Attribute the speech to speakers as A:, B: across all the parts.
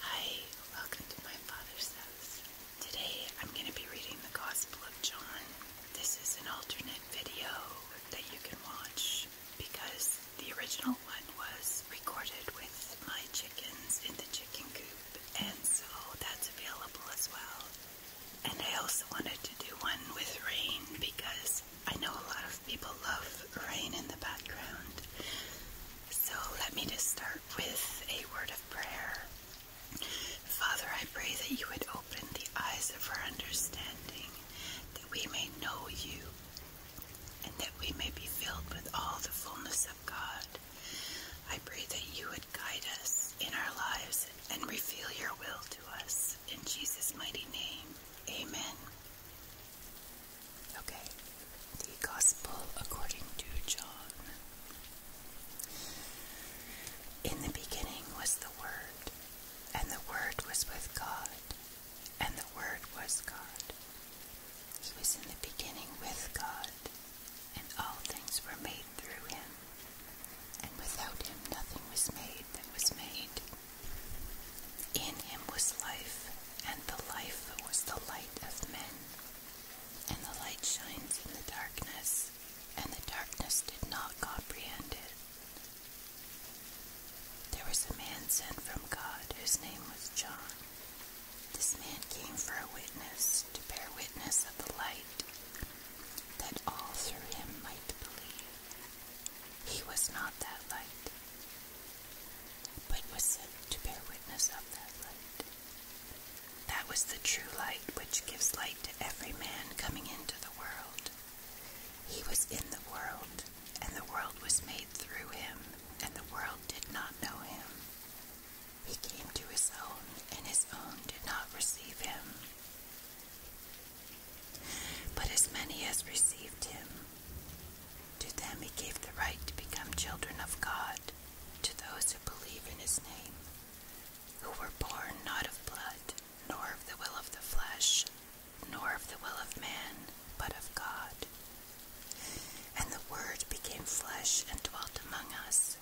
A: Hi, welcome to my father's house. Today I'm going to be reading the Gospel of John. This is an alternate video that you can watch because the original one was recorded with my chickens in the chicken coop, and so that's available as well. And I also wanted to do one with rain because I know a lot of people love rain in the background. So let me just start with a word of prayer. Father, I pray that you would open the eyes of our understanding, that we may know you, and that we may be filled with all the fullness of God. I pray that you would guide us in our lives and reveal your will to us. In Jesus' mighty name, amen. Okay, the Gospel according to John. In the beginning was the Word, and the Word was with God, and the Word was God. He was in the beginning with God, and all things were made through him, and without him nothing was made that was made. In him was life, and the life was the light of men. And the light shines in the darkness, and the darkness did not comprehend it. There was a man sent from God whose name was John. This man came for a witness, to bear witness of the light, that all through him might believe. He was not that light, but was sent to bear witness of that light. That was the true light which gives light to every man coming into the world. He was in the world, and the world was made through him, and the world did not know him. He came to his own, and his own did not receive him. But as many as received him, to them he gave the right to become children of God, to those who believe in his name, who were born not of blood, nor of the will of the flesh, nor of the will of man, but of God. And the Word became flesh and dwelt among us,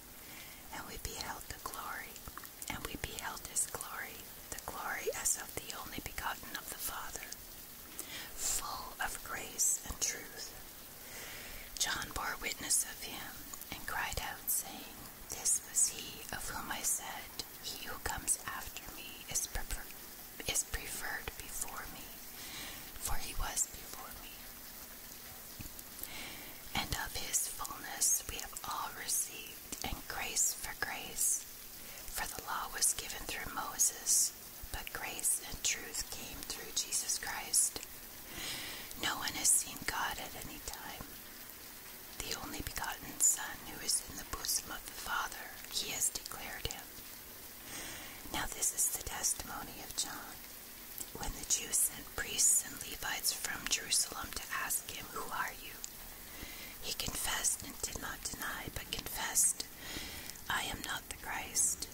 A: and we beheld the glory, and we beheld his glory, the glory as of the only begotten of the Father, full of grace and truth. John bore witness of him and cried out, saying, This was he of whom I said, He who comes after me is, prefer preferred before me, for he was before me. And of his fullness we have all received, and grace for grace. For the law was given through Moses but grace and truth came through Jesus Christ. No one has seen God at any time. The only begotten Son who is in the bosom of the Father, he has declared him. Now this is the testimony of John. When the Jews sent priests and Levites from Jerusalem to ask him, Who are you? He confessed and did not deny, but confessed, I am not the Christ.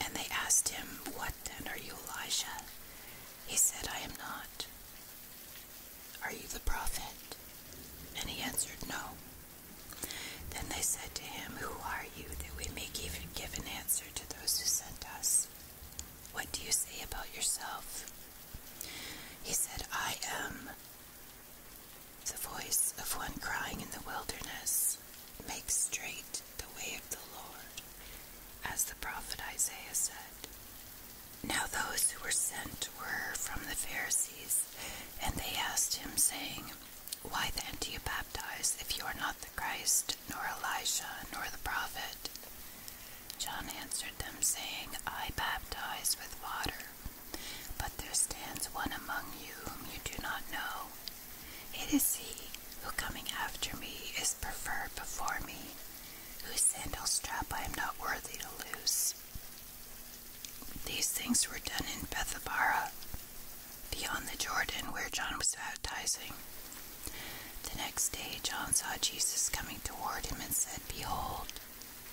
A: And they asked him, What then? Are you Elijah? He said, I am not. Are you the prophet? And he answered, No. Then they said to him, Who are you, that we may give, give an answer to those who sent us? What do you say about yourself? He said, I am the voice of one crying in the wilderness. Make straight the way of the Lord, as the prophet Isaiah said. Now those who were sent were from the Pharisees, and they asked him, saying, Why then do you baptize if you are not the Christ, nor Elijah, nor the prophet? John answered them, saying, I baptize with water, but there stands one among you whom you do not know it is he who coming after me is preferred before me, whose sandal strap I am not worthy to loose. These things were done in Bethabara, beyond the Jordan where John was baptizing. The next day John saw Jesus coming toward him and said, Behold,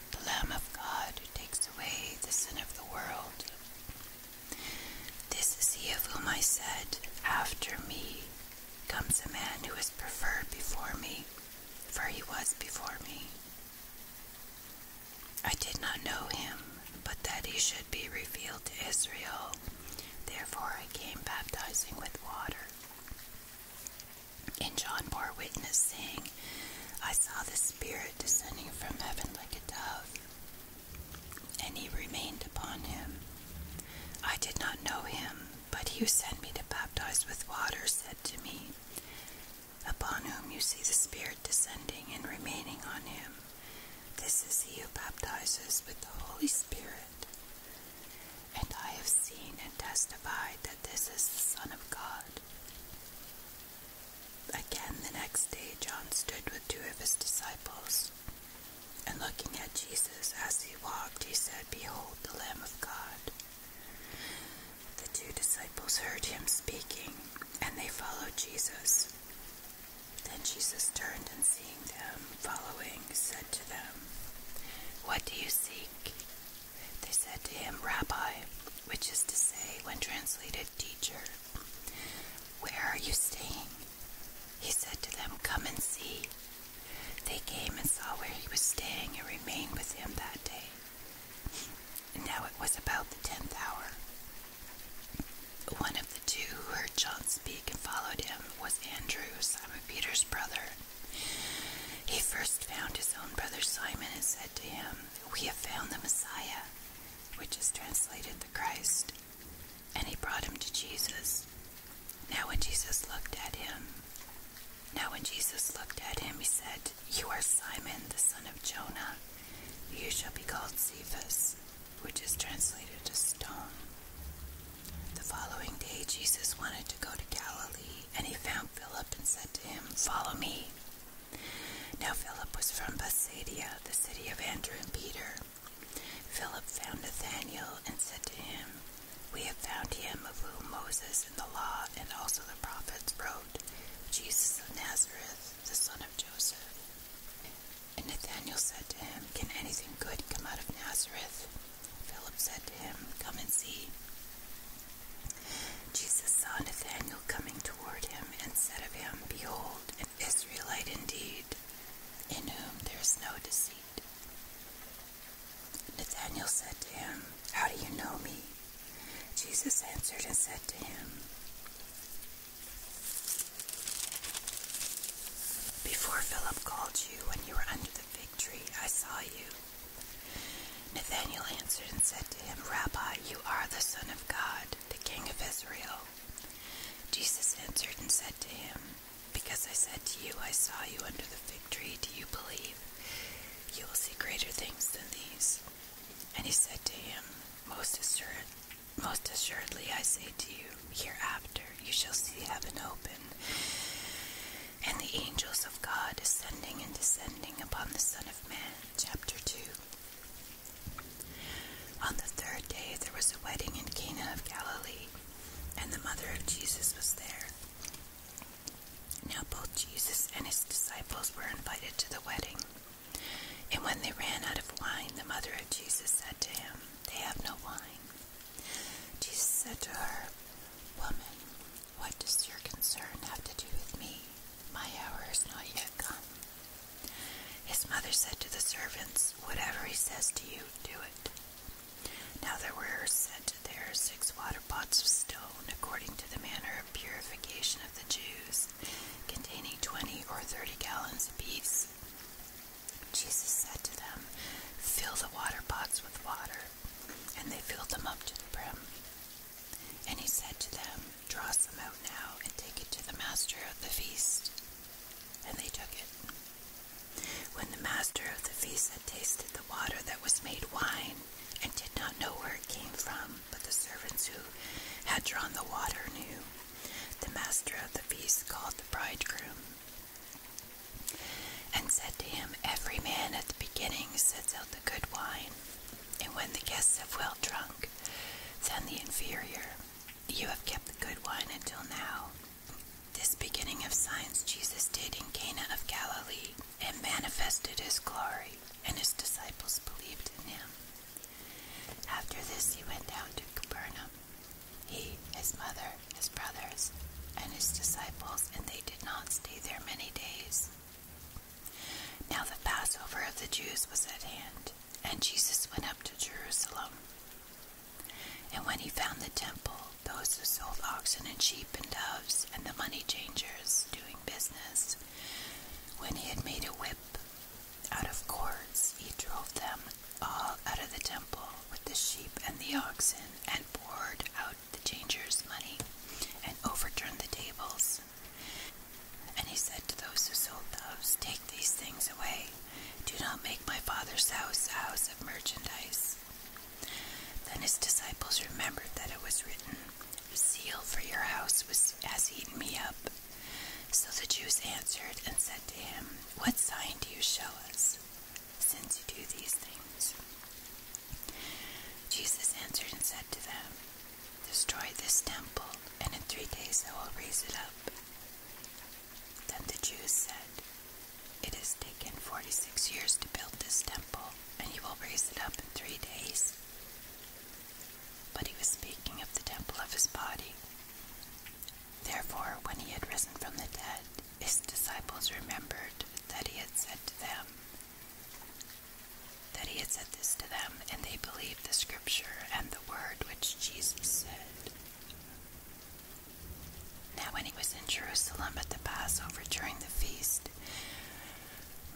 A: the Lamb of God who takes away the sin of the world. This is he of whom I said, After me comes a man who is preferred before me, for he was before me. I did not know him, but that he should be revealed to Israel. Therefore I came baptizing with water. And John bore witness, saying, I saw the Spirit descending from heaven like a dove, and he remained upon him. I did not know him, but he who sent me to baptize with water said to me, Upon whom you see the Spirit descending and remaining on him, this is he who baptizes with the Holy Spirit. And I have seen and testified that this is the Son of God. Again, the next day, John stood with two of his disciples, and looking at Jesus as he walked, he said, Behold, the Lamb of God. The two disciples heard him speaking, and they followed Jesus. Then Jesus turned and seeing them following, said to them, What do you seek? They said to him, Rabbi, which is to say, when translated, teacher. Where are you staying? He said to them, Come and see. They came and saw where he was staying and remained with him that day. And now it was about the tenth hour. One of the two who heard John speak and followed him was Andrew, Simon Peter's brother. He first found his own brother Simon and said to him, We have found the Messiah, which is translated the Christ. And he brought him to Jesus. Now, when Jesus looked at him, now when Jesus looked at him, he said, You are Simon, the son of Jonah. You shall be called Cephas, which is translated as stone. The following day, Jesus wanted to go to Galilee, and he found Philip and said to him, Follow me. Now, Philip was from Bethsaida, the city of Andrew and Peter. Philip found Nathanael and said to him, We have found him of whom Moses and the law and also the prophets wrote, Jesus of Nazareth, the son of Joseph. And Nathanael said to him, Can anything good come out of Nazareth? Philip said to him, Come and see. Jesus saw Nathanael coming toward him and said of him, Behold, Israelite indeed, in whom there is no deceit. Nathanael said to him, How do you know me? Jesus answered and said to him, Before Philip called you when you were under the fig tree, I saw you. Nathanael answered and said to him, Rabbi, you are the Son of God, the King of Israel. Jesus answered and said to him, Because I said to you, I saw you under the fig tree, do you believe? You will see greater things than these. And he said to him, Most, assured, most assuredly I say to you, hereafter you shall see heaven open, and the angels of God ascending and descending upon the Son of Man. Chapter 2 on the third day, there was a wedding in Cana of Galilee, and the mother of Jesus was there. Now both Jesus and his disciples were invited to the wedding. And when they ran out of wine, the mother of Jesus said to him, They have no wine. Jesus said to her, Woman, what does your concern have to do with me? My hour is not yet come. His mother said to the servants, Whatever he says to you, do it. Now there were set there six water pots of stone, according to the manner of purification of the Jews, containing twenty or thirty gallons apiece. Jesus said to them, Fill the water pots with water. And they filled them up to the brim. And he said to them, Draw some out now and take it to the master of the feast and they took it. When the master of the feast had tasted the water that was made wine, and did not know where it came from, but the servants who had drawn the water knew, the master of the feast called the bridegroom and said to him, Every man at the beginning sets out the good wine, and when the guests have well drunk, then the inferior. You have kept the good wine until now. This beginning of signs Jesus did in Cana of Galilee and manifested his glory, and his disciples believed in him. After this, he went down to Capernaum, he, his mother, his brothers, and his disciples, and they did not stay there many days. Now the Passover of the Jews was at hand. And Jesus went up to Jerusalem. And when he found the temple, those who sold oxen and sheep and doves, and the money changers doing business, when he had made a whip out of cords, he drove them all out of the temple with the sheep and the oxen, and poured out the changers' money, and overturned the tables. And he said to those who sold doves, Take these things away. Do not make my father's house a house of merchandise. Then his disciples remembered that it was written, "Seal for your house was, has eaten me up. So the Jews answered and said to him, What sign do you show us, since you do these things? Jesus answered and said to them, Destroy this temple, and in three days I will raise it up. Then the Jews said, It has taken forty six years to build this temple, and you will raise it up in three days. But he was speaking of the temple of his body. Therefore, when he had risen from the dead, his disciples remembered that he had said to them, that he had said this to them, and they believed the scripture and the word which Jesus said, now, when he was in Jerusalem at the Passover during the feast,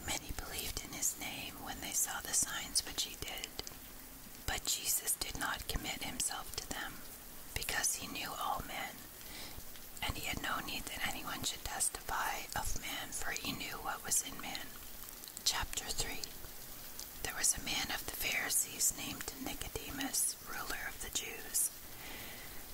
A: many believed in his name when they saw the signs which he did. But Jesus did not commit himself to them, because he knew all men, and he had no need that anyone should testify of man, for he knew what was in man. Chapter 3 there was a man of the Pharisees named Nicodemus, ruler of the Jews.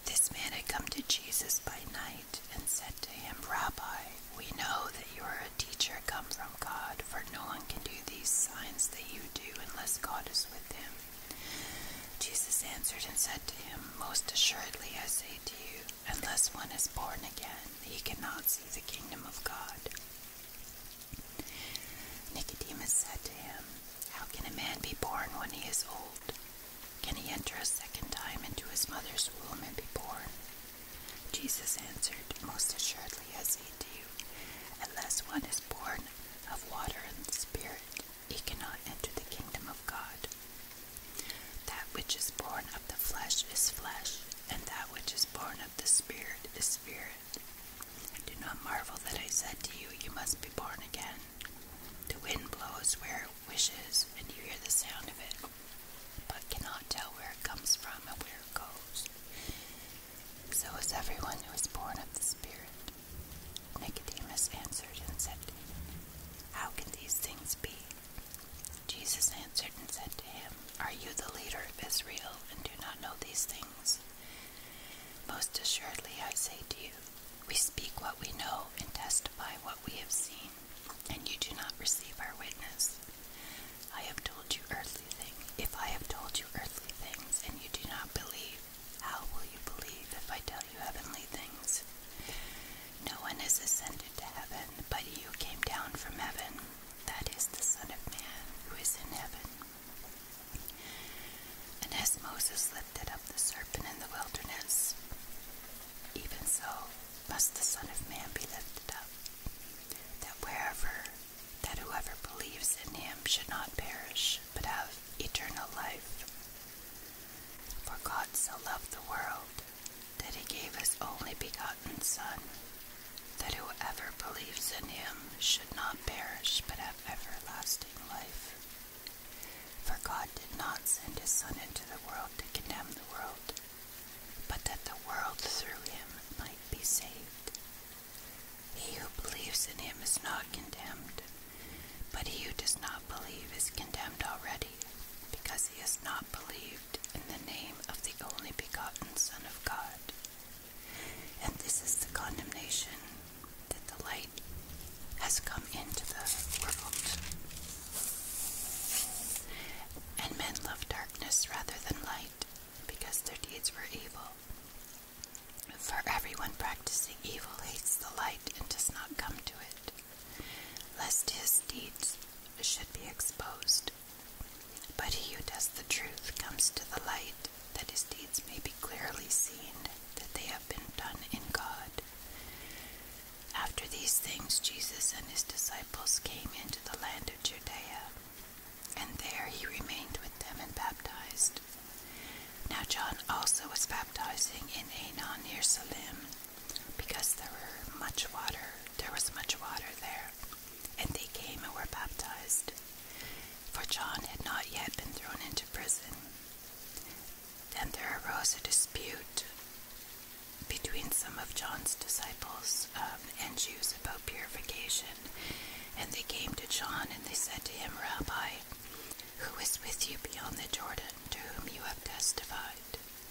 A: This man had come to Jesus by night and said to him, Rabbi, we know that you are a teacher come from God, for no one can do these signs that you do unless God is with him. Jesus answered and said to him, Most assuredly I say to you, unless one is born again, he cannot see the kingdom of God. Nicodemus said to him, How can a man be born when he is old? Can he enter a second time into his mother's womb and be born? Jesus answered, Most assuredly I say to you, unless one is born of water and the Spirit, he cannot enter the kingdom of God. That which is born of the flesh is flesh, and that which is born of the Spirit is spirit. Do not marvel that I said to you, You must be born again. The wind blows where it wishes, and you hear the sound of it, but cannot tell where it comes from and where it goes. So is everyone who is born of the Spirit. Nicodemus answered and said How can these things be? Jesus answered and said to him, Are you the leader of Israel and do not know these things? Most assuredly, I say to you, we speak what we know and testify what we have seen, and you do not receive our witness. I have told you earthly things. If I have told you earthly things and you do not believe, how will you believe if I tell you heavenly things? No one has ascended to heaven, but he who came down from heaven, that is the Son of Man who is in heaven. And as Moses lifted up the serpent in the wilderness, even so must the Son of Man be lifted up, that wherever, that whoever believes in him should not perish, but have eternal life. For God so loved the world that he gave his only begotten Son, that whoever believes in him should not perish but have everlasting life. For God did not send his Son into the world to condemn the world, but that the world through him might be saved. He who believes in him is not condemned, but he who does not believe is condemned already, because he has not believed in the name of the only begotten Son of God. And this is the condemnation that the light has come into the world. And men love darkness rather than light, because their deeds were evil. For everyone practicing evil hates the light and does not come to it, lest his deeds should be exposed. But he who does the truth comes to the light, that his deeds may be clearly seen, that they have been done in God. After these things, Jesus and his disciples came into the land of Judea, and there he remained with them and baptized. Now John also was baptizing in Anon near Salim, because there were much water, there was much water there and they came and were baptized. For John had not yet been thrown into prison. Then there arose a dispute between some of John's disciples um, and Jews about purification. And they came to John and they said to him, Rabbi, who is with you beyond the Jordan, to whom you have testified?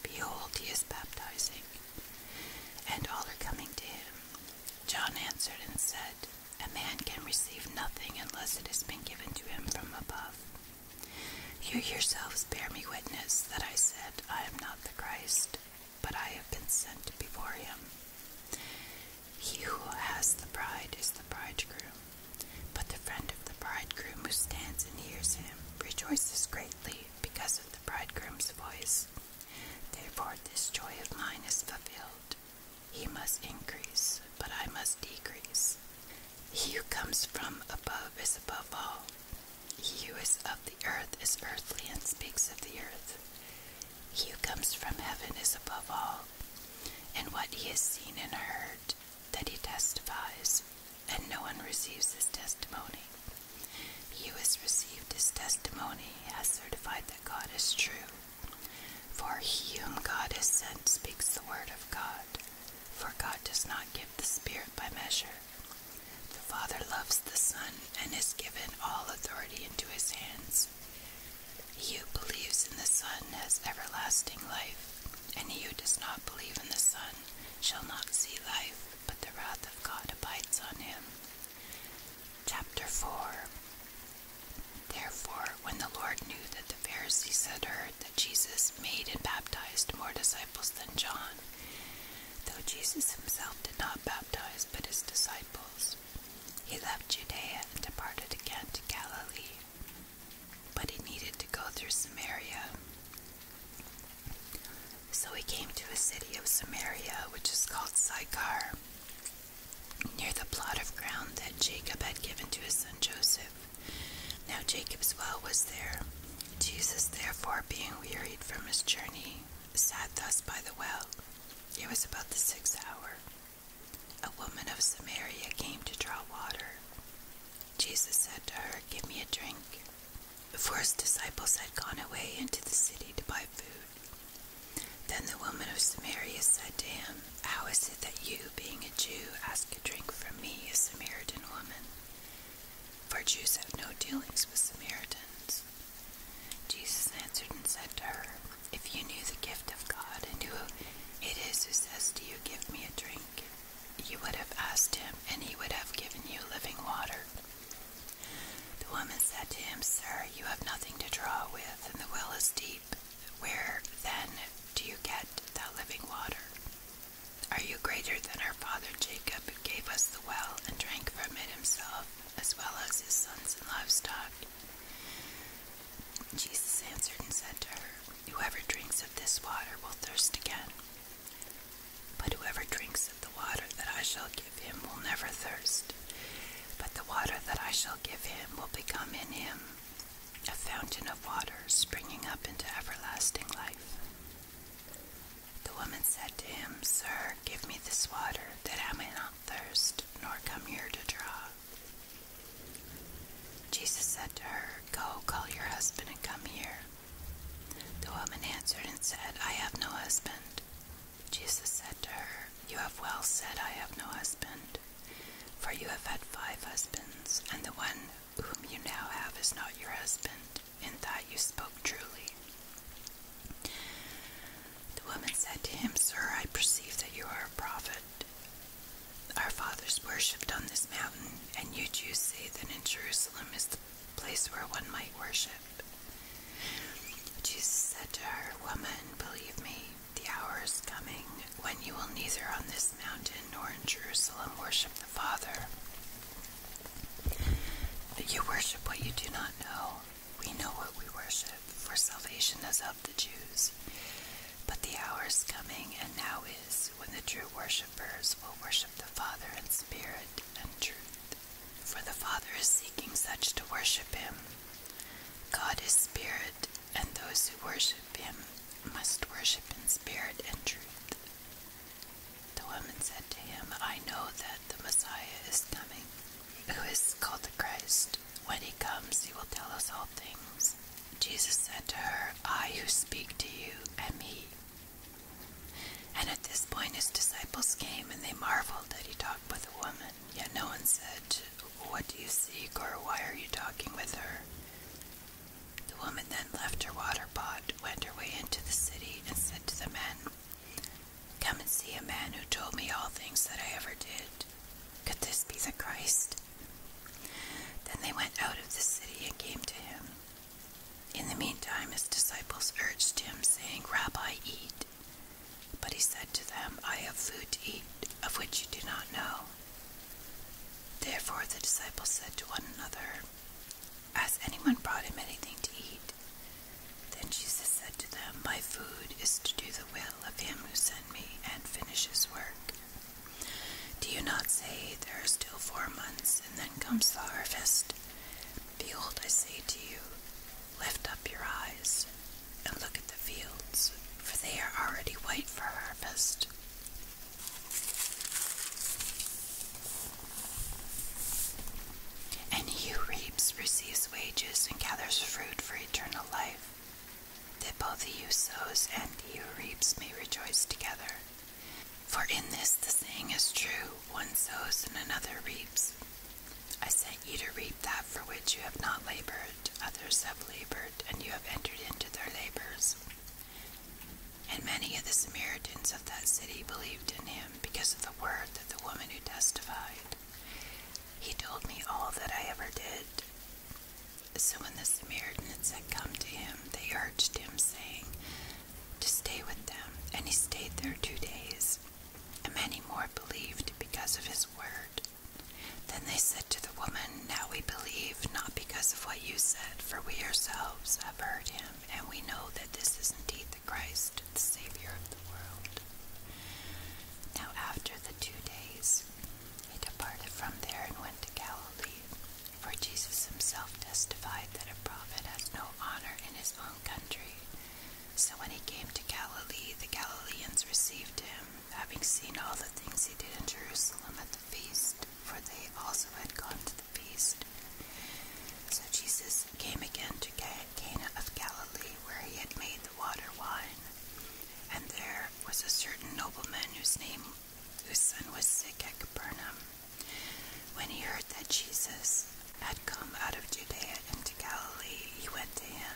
A: Behold, he is baptizing, and all are coming to him. John answered and said, a man can receive nothing unless it has been given to him from above. You yourselves bear me witness that I said, I am not the Christ, but I have been sent before him. He who has the bride is the bridegroom, but the friend of the bridegroom who stands and hears him rejoices greatly because of the bridegroom's voice. Therefore, this joy of mine is fulfilled. He must increase, but I must decrease. He who comes from above is above all. He who is of the earth is earthly and speaks of the earth. He who comes from heaven is above all. And what he has seen and heard, that he testifies, and no one receives his testimony. He who has received his testimony has certified that God is true for he whom God has sent speaks the word of God, for God does not give the Spirit by measure. The Father loves the Son and has given all authority into his hands. He who believes in the Son has everlasting life, and he who does not believe in the Son shall not see life, but the wrath of God abides on him. Chapter 4 Therefore, when the Lord knew that the Pharisees had heard that Jesus made and baptized more disciples than John, though Jesus himself did not baptize but his disciples, he left Judea and departed again to Galilee. But he needed to go through Samaria. So he came to a city of Samaria, which is called Sychar, near the plot of ground that Jacob had given to his son Joseph. Now Jacob's well was there. Jesus, therefore, being wearied from his journey, sat thus by the well. It was about the sixth hour. A woman of Samaria came to draw water. Jesus said to her, Give me a drink. Before his disciples had gone away into the city to buy food. Then the woman of Samaria said to him, How is it that you, being a Jew, ask a drink from me, a Samaritan woman? For Jews have no dealings with Samaritans. Jesus answered and said to her, If you knew the gift of God and who it is who says to you, 'Give me a drink, you would have asked him, and he would have given you living water. The woman said to him, Sir, you have nothing to draw with, and the well is deep, where then do you get that living water? Are you greater than our father Jacob, who gave us the well and drank from it himself, as well as his sons and livestock? Jesus answered and said to her, Whoever drinks of this water will thirst again. But whoever drinks of the water that I shall give him will never thirst. But the water that I shall give him will become in him a fountain of water springing up into everlasting life. The woman said to him, Sir, give me this water, that I may not thirst, nor come here to draw. Jesus said to her, Go, call your husband and come here. The woman answered and said, I have no husband. Jesus said to her, You have well said, I have no husband. For you have had five husbands, and the one whom you now have is not your husband. In that you spoke truly. The woman said to him, Sir, I perceive that you are a prophet. Our fathers worshipped on this mountain, and you Jews say that in Jerusalem is the place where one might worship. Jesus said to her, Woman, believe me, the hour is coming when you will neither on this mountain nor in Jerusalem worship the Father. But you worship what you do not know. We know what we worship, for salvation is of the Jews. But the hour is coming, and now is, when the true worshippers will worship the Father in spirit and truth. For the Father is seeking such to worship him. God is spirit, and those who worship him must worship in spirit and truth. The woman said to him, I know that the Messiah is coming, who is called the Christ. When he comes, he will tell us all things. Jesus said to her, I who speak to you am he. And at this point, his disciples came, and they marveled that he talked with a woman one, yet no one said, What do you seek, or why are you talking with her? The woman then left her water pot, went her way into the city, and said to the men, Come and see a man who told me all things that I ever did. Could this be the Christ? Then they went out of the city and came to him. In the meantime, his disciples urged him, saying, Rabbi, eat. But he said to them, I have food to eat of which you do not know. Therefore the disciples said to one another, Has anyone brought him anything to eat? Then Jesus said to them, My food is to do the will of him who sent me and finish his work. Do you not say, There are still four months, and then comes the harvest? Behold, I say to you, Lift up your eyes and look at the fields, for they are already white for harvest. And he who reaps receives wages and gathers fruit for eternal life, that both he who sows and he who reaps may rejoice together. For in this the saying is true one sows and another reaps. I sent you to reap that for which you have not labored, others have labored, and you have entered into their labors. And many of the Samaritans of that city believed in him because of the word that the woman who testified. He told me all that I ever did. So when the Samaritans had come to him, they urged him, saying, To stay with them. And he stayed there two days. And many more believed because of his word. Then they said to the woman, Now we believe, not because of what you said, for we ourselves have heard him, and we know that this is indeed the Christ, the Savior of the world. Now after the two days, he departed from there and went to Galilee, for Jesus himself testified that a prophet has no honor in his own country. So when he came to Galilee, the Galileans received him having seen all the things he did in Jerusalem at the feast, for they also had gone to the feast. So Jesus came again to Cana of Galilee, where he had made the water wine. And there was a certain nobleman whose name, whose son was sick at Capernaum. When he heard that Jesus had come out of Judea into Galilee, he went to him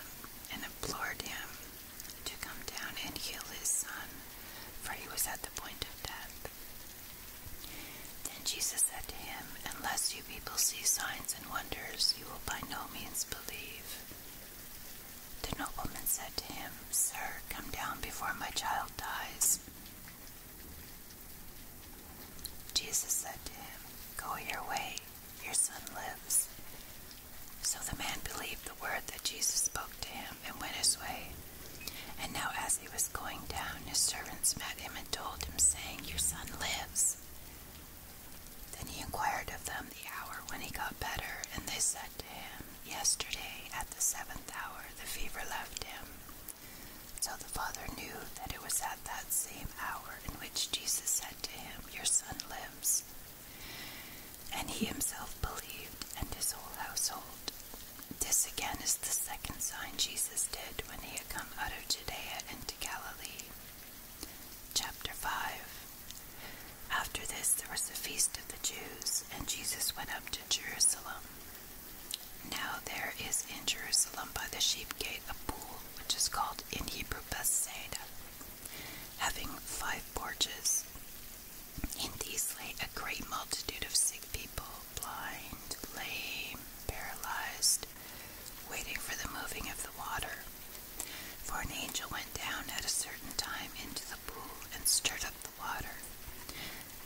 A: and implored him to come down and heal his son, for he was at the point of death. Then Jesus said to him, Unless you people see signs and wonders, you will by no means believe. The nobleman said to him, Sir, come down before my child dies. Jesus said to him, Go your way, your son lives. So the man believed the word that Jesus spoke to him and went his way. And now, as he was going down, his servants met him and told him, saying, Your son lives. Then he inquired of them the hour when he got better, and they said to him, Yesterday at the seventh hour the fever left him. So the father knew that it was at that same hour in which Jesus said to him, Your son lives. And he himself believed, and his whole household. This again is the second sign Jesus did when he had come out of Judea into Galilee. Chapter 5 After this, there was a feast of the Jews, and Jesus went up to Jerusalem. Now there is in Jerusalem by the sheep gate a pool, which is called in Hebrew Bethsaida having five porches. In these lay a great multitude of sick people, blind, lame, paralyzed, waiting for the moving of the water. For an angel went down at a certain time into the pool and stirred up the water.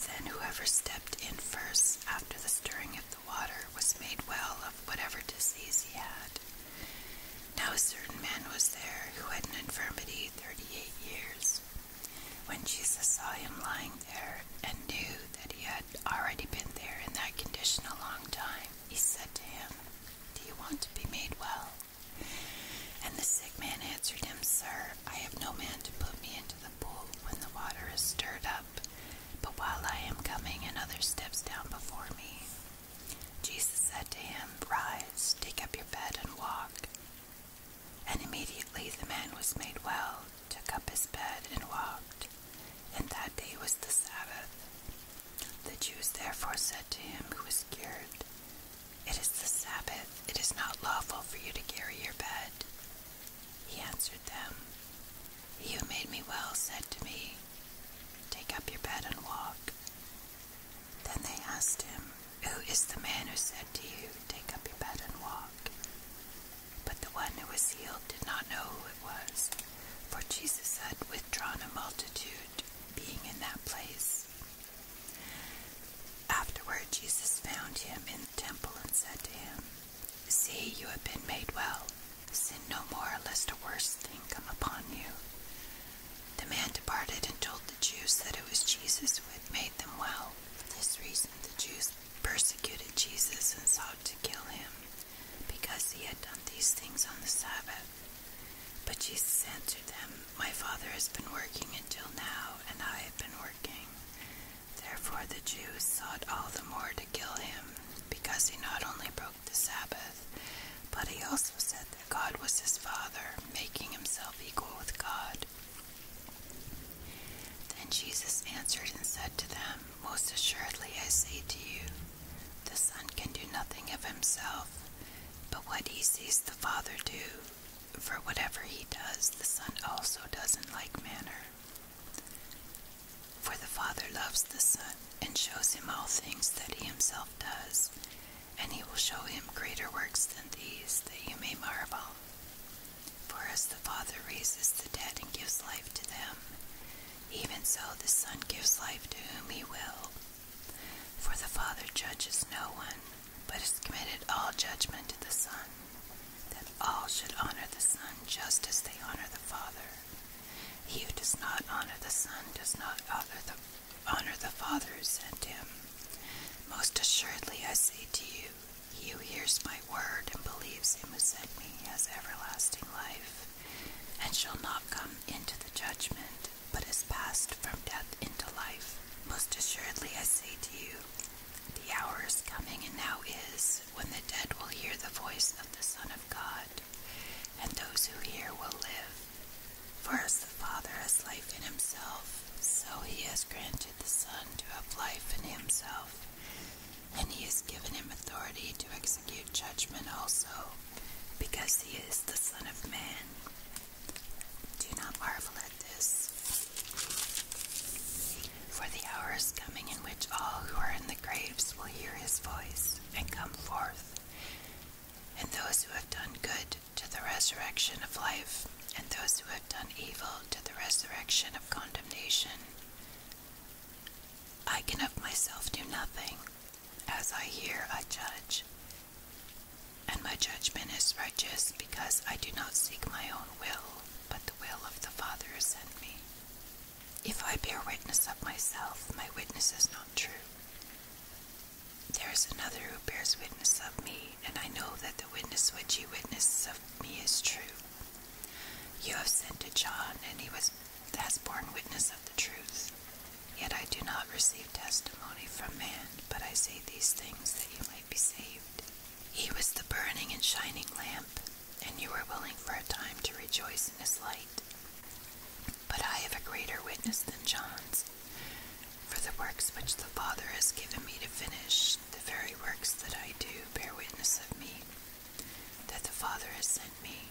A: Then whoever stepped in first after the stirring of the water was made well of whatever disease he had. Now a certain man was there who had an infirmity thirty eight years. When Jesus saw him lying there and knew that he had already been there in that condition a long time, he said to him, Do you want to be made well? And the sick man answered him, Sir, I have no man to put me into the pool when the water is stirred up, but while I am coming, another steps down before me. Jesus said to him, Rise, take up your bed, and walk. And immediately the man was made well, took up his bed, and walked. And that day was the Sabbath. The Jews therefore said to him who was cured, It is the Sabbath, it is not lawful for you to carry your bed. He answered them, "You made me well said to me, Take up your bed and walk. Then they asked him, Who is the man who said to you, 'Take up your bed and walk? But the one who was healed did not know who it was, for Jesus had withdrawn a multitude being in that place. Afterward, Jesus found him in the temple and said to him, See, you have been made well. Sin no more, lest a worse thing come upon you. The man departed and told the Jews that it was Jesus who had made them well. For this reason, the Jews persecuted Jesus and sought to kill him, because he had done these things on the Sabbath. But Jesus answered them, My Father has been working until now, and I have been working. Therefore, the Jews sought all the more to kill him, because he not only broke the Sabbath, but he also said that God was his Father, making himself equal with God. Then Jesus answered and said to them, Most assuredly I say to you, the Son can do nothing of himself, but what he sees the Father do. For whatever he does, the Son also does in like manner. For the Father loves the Son, and shows him all things that he himself does, and he will show him greater works than these, that you may marvel. For as the Father raises the dead and gives life to them, even so the Son gives life to whom he will. For the Father judges no one, but has committed all judgment to the Son, that all should honor the Son just as they honor the Father. He who does not honor the Son does not honor the honor the Father who sent him. Most assuredly I say to you, he who hears my word and believes him who sent me has everlasting life, and shall not come into the judgment, but is passed from death into life. Most assuredly I say to you, the hour is coming and now is when the dead will hear the voice of the Son of God, and those who hear will live. For as the Father has life in himself, so he has granted the Son to have life in himself, and he has given him authority to execute judgment also, because he is the Son of Man. Do not marvel at this. For the hour is coming in which all who are in the graves will hear his voice and come forth and those who have done good to the resurrection of life, and those who have done evil to the resurrection of condemnation. I can of myself do nothing. As I hear, I judge. And my judgment is righteous, because I do not seek my own will, but the will of the Father who sent me. If I bear witness of myself, my witness is not true. There is another who bears witness of me, and I know that the witness which he witnesses of me is true. You have sent to John, and he was, has borne witness of the truth. Yet I do not receive testimony from man, but I say these things that you might be saved. He was the burning and shining lamp, and you were willing for a time to rejoice in his light. But I have a greater witness than John's. For the works which the Father has given me to finish, the very works that I do bear witness of me, that the Father has sent me.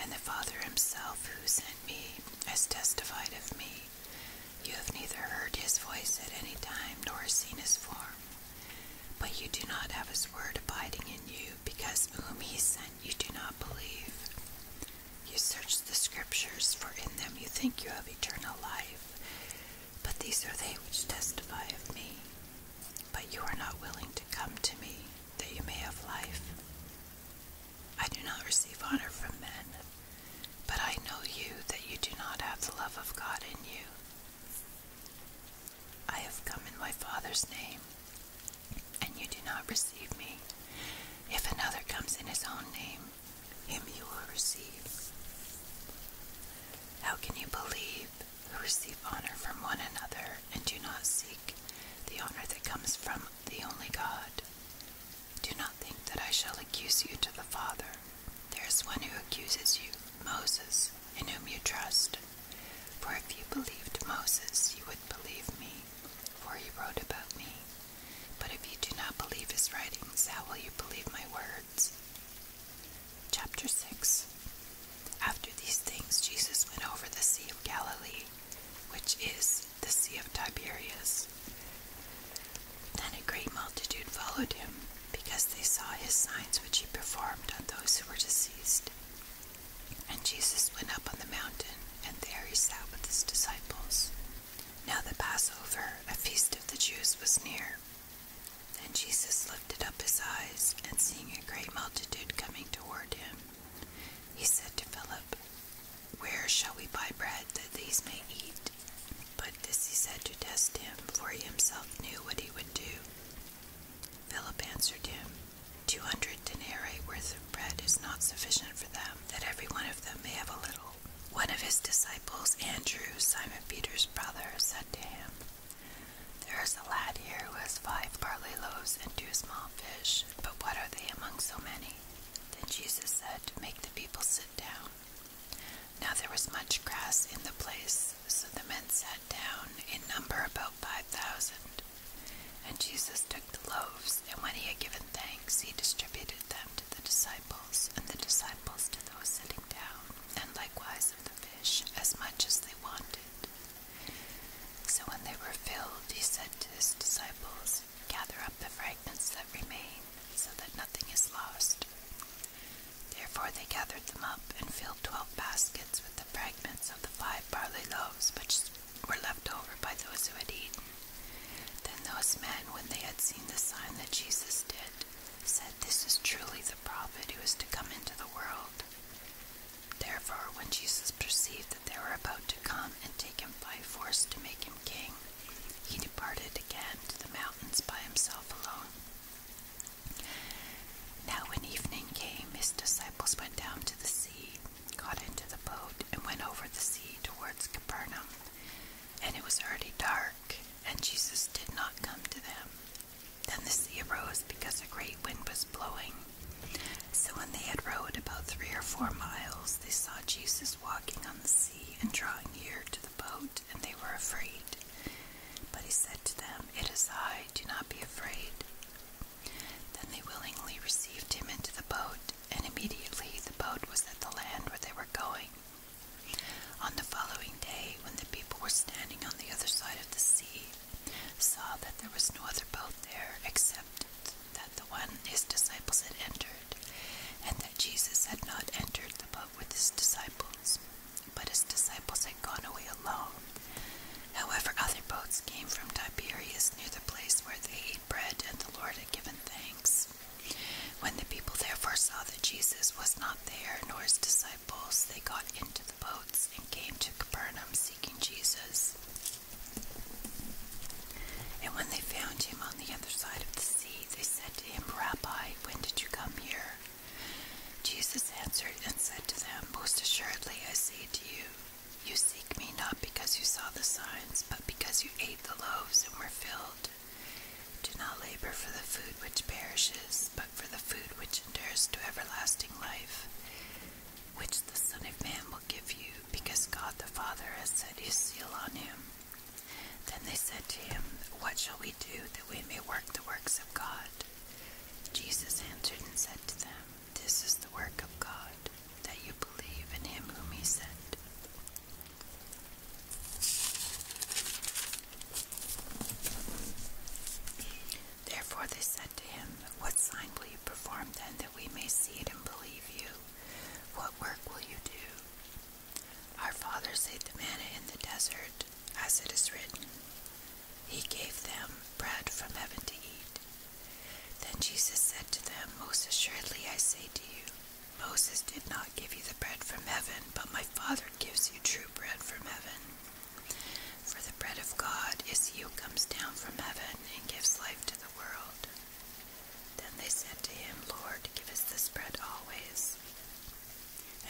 A: And the Father himself who sent me has testified of me. You have neither heard his voice at any time nor seen his form. But you do not have his word abiding in you, because whom he sent you do not believe. You search the scriptures, for in them you think you have eternal life. But these are they which testify of me. But you are not willing to come to me, that you may have life. I do not receive honor from men, but I know you that you do not have the love of God in you. I have come in my Father's name, and you do not receive me. If another comes in his own name, him you will receive. How can you believe who receive honor from one another and do not seek the honor that comes from the only God? Do not think that I shall accuse you to the Father. There is one who accuses you, Moses, in whom you trust. For if you believed Moses, you would believe me, for he wrote about me. But if you do not believe his writings, how will you believe my words? Chapter 6 After these things, Jesus went over the Sea of Galilee, which is the Sea of Tiberias. Then a great multitude followed him, because they saw his signs which he performed on those who were diseased. And Jesus went up on the mountain, and there he sat with his disciples. Now the Passover, a feast of the Jews, was near. and Jesus lifted up his eyes, and seeing a great multitude coming toward him, he said to Philip, Where shall we buy bread that these may eat? But this he said to test him, for he himself knew what he would do. Philip answered him, "Two hundred." hundred denarii worth of bread is not sufficient for them, that every one of them may have a little. One of his disciples, Andrew, Simon Peter's brother, said to him, There is a lad here who has five barley loaves and two small fish, but what are they among so many? Then Jesus said, Make the people sit down. Now there was much grass in the place, so the men sat down, in number about five thousand. And Jesus took the loaves, and when he had given thanks, he distributed them to the disciples, and the disciples to those sitting down, and likewise of the fish, as much as they wanted. So when they were filled, he said to his disciples, Gather up the fragments that remain, so that nothing is lost. Therefore they gathered them up and filled twelve baskets with the fragments of the five barley loaves which were left over by those who had eaten. Then those men, when they had seen the sign that Jesus did, said, This is truly the prophet who is to come into the world. Therefore, when Jesus perceived that they were about to come and take him by force to make him king, he departed again to the mountains by himself alone. Now, when evening came, his disciples went down to the sea, got into the boat and went over the sea towards Capernaum. And it was already dark, and Jesus did not come to them. Then the sea arose because a great wind was blowing. So when they had rowed about three or four miles, they saw Jesus walking on the sea and drawing near to the boat, and they were afraid. But he said to them, It is I, do not be afraid. Then they willingly received him into the boat, and immediately the boat was at the land where they were going. On the following day, when the people were standing on the other side of the sea, saw that there was no other boat there except that the one his disciples had entered, and that Jesus had not entered the boat with his disciples, but his disciples had gone away alone. However, other boats came from Tiberias near the place where they ate bread, and the Lord given thanks. When the people therefore saw that Jesus was not there, nor his disciples, they got into the boats and came to Capernaum seeking Jesus. And when they found him on the other side of the sea, they said to him, Rabbi, when did you come here? Jesus answered and said to them, Most assuredly I say to you, you seek me not because you saw the signs, but because you ate the loaves and were filled. Do not labor for the food which perishes, but for the food which endures to everlasting life, which the Son of Man will give you, because God the Father has set his seal on him. Then they said to him, What shall we do that we may work the works of God? Jesus answered and said to them, This is the work of God, that you believe in him whom he sent. Therefore they said to him, What sign will you perform then that we may see it and believe you? What work will you do? Our fathers ate the manna in the desert, as it is written. He gave them bread from heaven to eat. Then Jesus said to them, Most assuredly I say to you, Moses did not give you the bread from heaven, but my Father gives you true bread from heaven. For the bread of God is he who comes down from heaven and gives life to the world. Then they said to him, Lord, give us this bread always.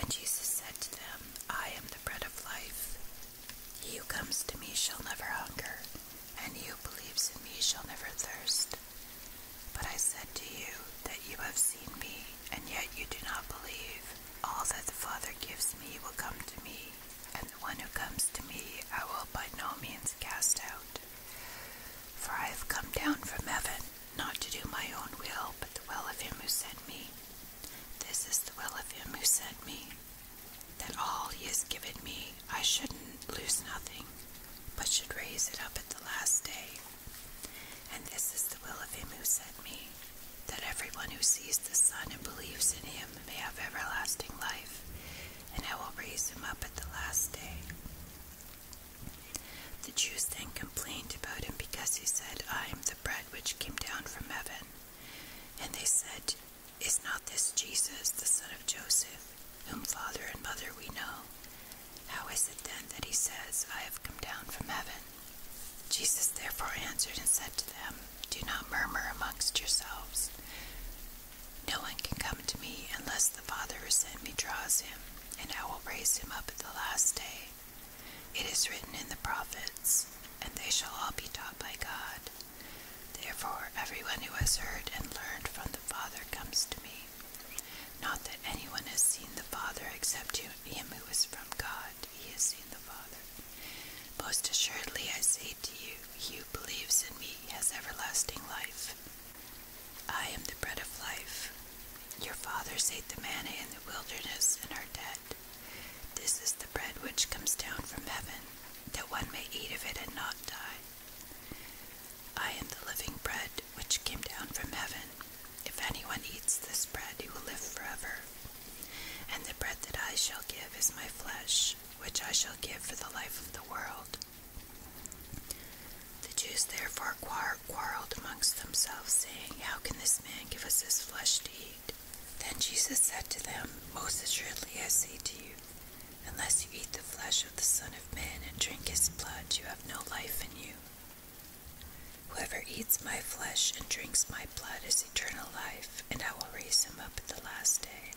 A: And Jesus said to them, I am the bread of life. He who comes to me shall never hunger, and he who believes in me shall never thirst. But I said to you that you have seen me, and yet you do not believe. All that the Father gives me will come to me, and the one who comes to me I will by no means cast out. For I have come down from heaven, not to do my own will, but the will of him who sent me. This is the will of him who sent me, that all he has given me I shouldn't lose nothing, but should raise it up at the last day. And this is the will of him who sent me, that everyone who sees the Son and believes in him may have everlasting life, and I will raise him up at the last day. The Jews then complained about him because he said, I am the bread which came down from heaven. And they said, Is not this Jesus, the son of Joseph? whom father and mother we know, how is it then that he says, I have come down from heaven? Jesus therefore answered and said to them, Do not murmur amongst yourselves. No one can come to me unless the Father who sent me draws him, and I will raise him up at the last day. It is written in the prophets, and they shall all be taught by God. Therefore, everyone who has heard and learned from the Father comes to me. Not that anyone has seen the Father except him who is from God, he has seen the Father. Most assuredly, I say to you, he who believes in me has everlasting life. I am the bread of life. Your fathers ate the manna in the wilderness and are dead. This is the bread which comes down from heaven, that one may eat of it and not die. I am the living bread which came down from heaven. If anyone eats this bread, he will live forever. And the bread that I shall give is my flesh, which I shall give for the life of the world. The Jews therefore quarreled amongst themselves, saying, How can this man give us his flesh to eat? Then Jesus said to them, Most assuredly I say to you, Unless you eat the flesh of the Son of Man and drink his blood, you have no life in you. Whoever eats my flesh and drinks my blood is eternal life, and I will raise him up at the last day.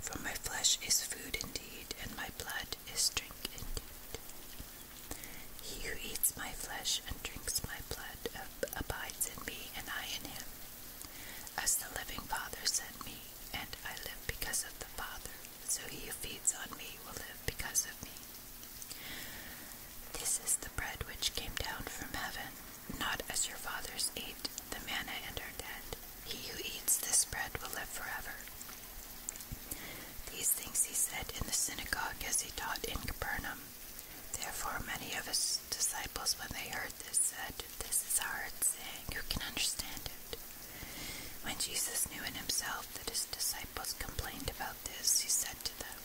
A: For my flesh is food indeed, and my blood is drink indeed. He who eats my flesh and drinks my blood abides in me, and I in him. As the living Father sent me, and I live because of the Father, so he who feeds on me will live because of me. This is the bread which came down from heaven, not as your fathers ate the manna and are dead. He who eats this bread will live forever. These things he said in the synagogue as he taught in Capernaum. Therefore, many of his disciples, when they heard this, said, This is hard saying, who can understand it? When Jesus knew in himself that his disciples complained about this, he said to them,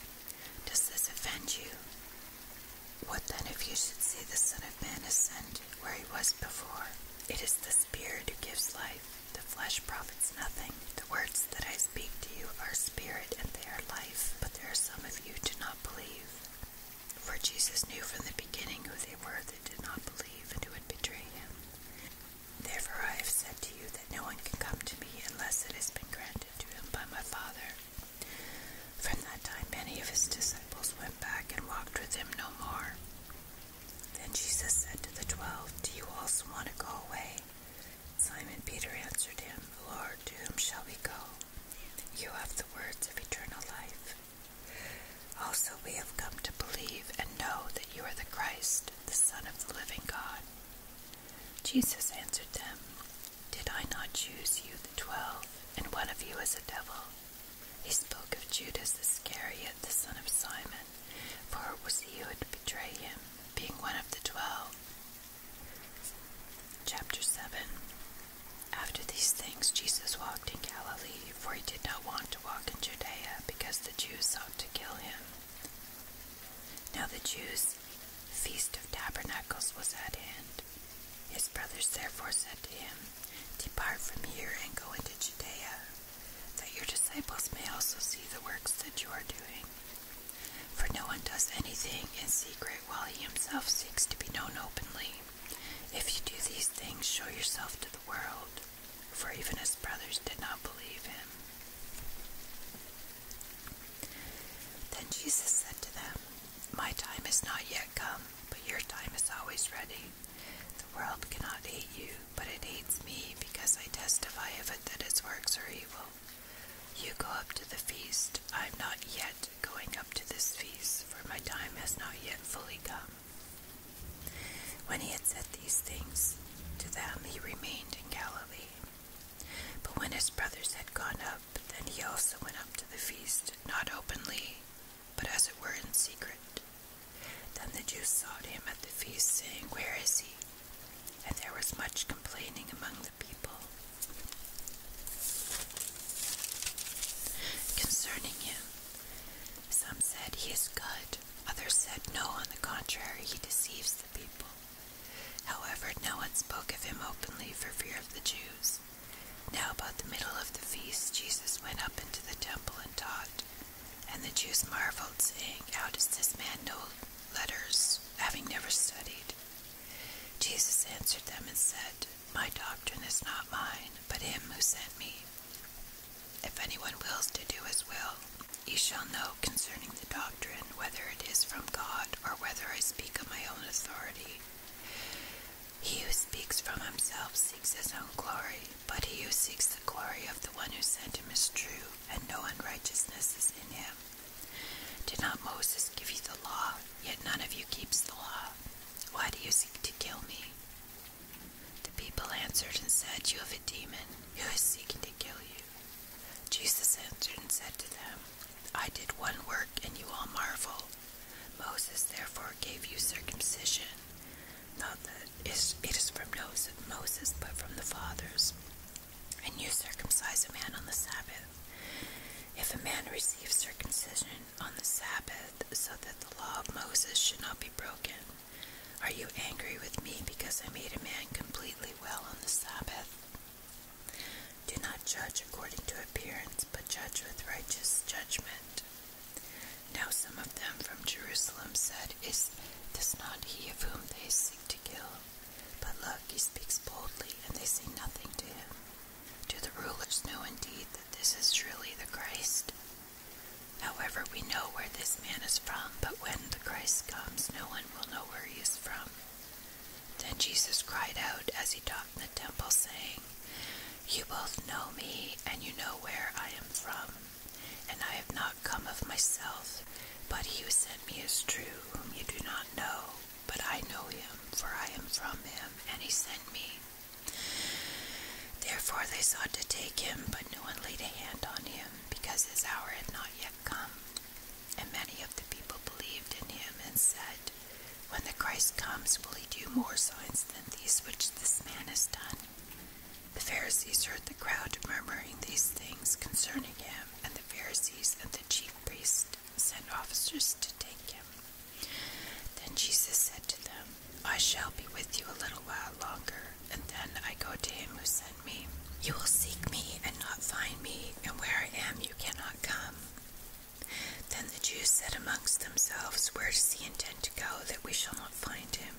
A: Does this offend you? What then if you should see the Son of Man ascend where he was before? It is the Spirit who gives life. The flesh profits nothing. The words that I speak to you are spirit and they are life, but there are some of you who do not believe. For Jesus knew from the beginning who they were that did not believe and who would betray him. Therefore I have said to you that no one can come to me unless it has been granted to him by my Father. From that time many of his disciples went back and walked with him no more. Then Jesus said to the twelve, Do you also want to go away? Simon Peter answered him, Lord, to whom shall we go? You have the words of eternal life. Also, we have come to believe and know that you are the Christ, the Son of the living God. Jesus answered them, Did I not choose you, the twelve, and one of you as a devil? He spoke of Judas the Iscariot, the son of Simon, for it was he who would betray him, being one of the twelve. Chapter 7 After these things, Jesus walked in Galilee for he did not want to walk in Judea, because the Jews sought to kill him. Now the Jews' feast of tabernacles was at hand. His brothers therefore said to him, Depart from here and go into Judea, that your disciples may also see the works that you are doing. For no one does anything in secret while he himself seeks to be known openly. If you do these things, show yourself to the world for even his brothers did not believe him. Then Jesus said to them, My time is not yet come, but your time is always ready. The world cannot hate you, but it hates me because I testify of it that its works are evil. You go up to the feast. I am not yet going up to this feast, for my time has not yet fully come. When he had said these things to them, he remained in Galilee. But when his brothers had gone up, then he also went up to the feast, not openly, but as it were in secret. Then the Jews sought him at the feast, saying, Where is he? And there was much complaining among the people concerning him. Some said, He is good. Others said, No, on the contrary, he deceives the people. However, no one spoke of him openly for fear of the Jews. Now, about the middle of the feast, Jesus went up into the temple and taught. And the Jews marveled, saying, How does this man know letters, having never studied? Jesus answered them and said, My doctrine is not mine, but him who sent me. If anyone wills to do his will, he shall know concerning the doctrine whether it is from God or whether I speak of my own authority. He who speaks from himself seeks his own glory, but he who seeks the glory of the one who sent him is true, and no unrighteousness is in him. Did not Moses give you the law, yet none of you keeps the law? Why do you seek to kill me? The people answered and said, You have a demon who is seeking to kill you. Jesus answered and said to them, I did one work, and you all marvel. Moses therefore gave you circumcision, not that it is from Moses, but from the fathers. And you circumcise a man on the Sabbath. If a man receives circumcision on the Sabbath, so that the law of Moses should not be broken, are you angry with me because I made a man completely well on the Sabbath? Do not judge according to appearance, but judge with righteous judgment. Now some of them from Jerusalem said, Is this not he of whom they seek to kill? But look, he speaks boldly, and they say nothing to him. Do the rulers know indeed that this is truly the Christ? However, we know where this man is from, but when the Christ comes, no one will know where he is from. Then Jesus cried out as he taught in the temple, saying, You both know me, and you know where I am from. And I have not come of myself, but he who sent me is true, whom you do not know. But I know him, for I am from him, and he sent me. Therefore they sought to take him, but no one laid a hand on him, because his hour had not yet come. And many of the people believed in him and said, When the Christ comes, will he do more signs than these which this man has done? The Pharisees heard the crowd murmuring these things concerning him, and the Pharisees and the chief priests sent officers to take him. Then Jesus said to them, I shall be with you a little while longer, and then I go to him who sent me. You will seek me and not find me, and where I am you cannot come. Then the Jews said amongst themselves, Where does he intend to go that we shall not find him?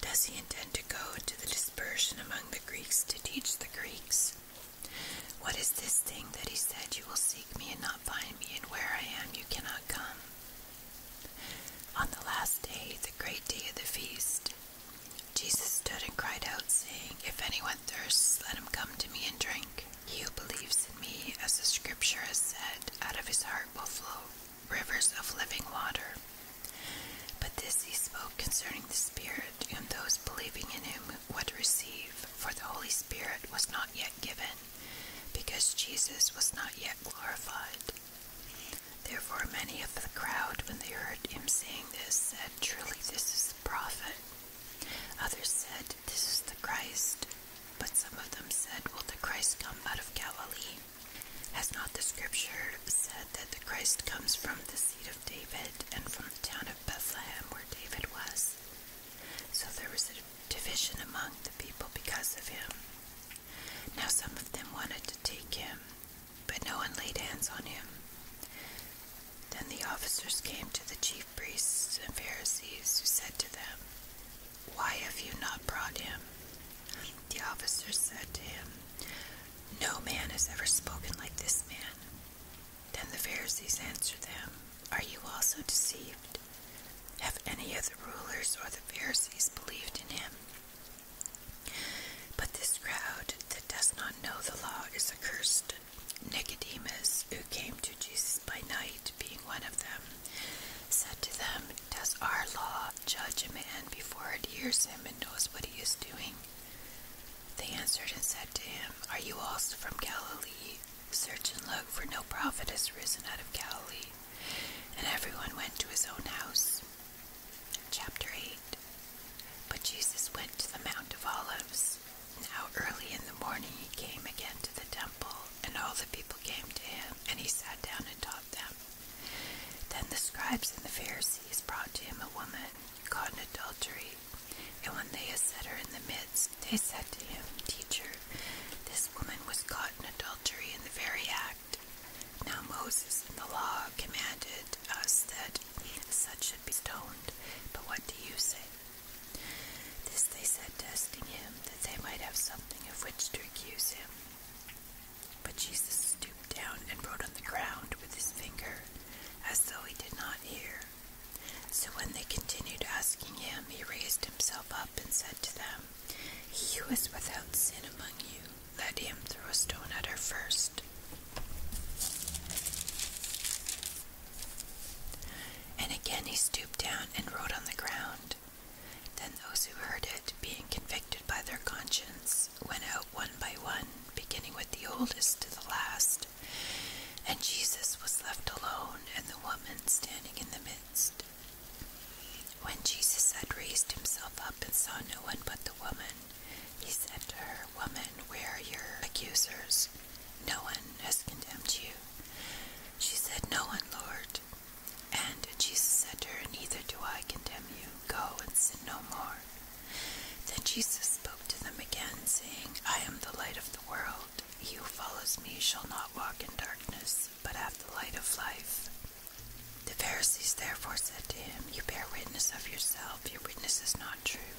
A: Does he intend to go to the dispersion among the Greeks to teach the Greeks? What is this thing that he said, You will seek me and not find me, and where I am you cannot come? On the last day, the great day of the feast, Jesus stood and cried out, saying, If anyone thirsts, let him come to me and drink. He who believes in me, as the scripture has said, out of his heart will flow rivers of living water. But this he spoke concerning the Spirit, and those believing in him would receive, for the Holy Spirit was not yet given, because Jesus was not yet glorified. Therefore, many of the crowd, when they heard him saying this, said, Truly, this is the prophet. Others said, This is the Christ. But some of them said, Will the Christ come out of Galilee? Has not the scripture said that the Christ comes from the seed of David and from the town of Bethlehem where David was? So there was a division among the people because of him. Now some of them wanted to take him, but no one laid hands on him. Then the officers came to the chief priests and Pharisees, who said to them, Why have you not brought him? The officers said to him, No man has ever spoken like this man. Then the Pharisees answered them, Are you also deceived? Have any of the rulers or the Pharisees believed in him? But this crowd that does not know the law is accursed. Nicodemus, who came to Jesus by night, being one of them, said to them, Does our law judge a man before it hears him and knows what he is doing? They answered and said to him, Are you also from Galilee? Search and look, for no prophet has risen out of Galilee. And everyone went to his own house. Chapter 8 But Jesus went to the Mount of Olives. Now early in the morning he came again to the temple, and all the people came to him, and he sat down and taught them. Then the scribes and the Pharisees brought to him a woman caught in adultery, and when they had set her in the midst, they said to him, Teacher, this woman was caught in adultery in the very act. Now Moses in the law commanded us that such should be stoned, but what do you say? This they said, testing him, that they might have something of which to accuse him. But Jesus stooped down and wrote on the ground with his finger, as though he did not hear. So when they continued asking him, he raised himself up and said to them, he who is without sin among you, let him throw a stone at her first. And again he stooped down and wrote on the ground. Then those who heard it, being convicted by their conscience, went out one by one, beginning with the oldest to the last. And Jesus was left alone, and the woman standing in the midst. When Jesus had raised himself up and saw no one but the woman, he said to her, Woman, where are your accusers? No one has condemned you. She said, No one, Lord. And Jesus said to her, Neither do I condemn you. Go and sin no more. Then Jesus spoke to them again, saying, I am the light of the world. He who follows me shall not walk in darkness, but have the light of life. The Pharisees therefore said to him, You bear witness of yourself, your witness is not true.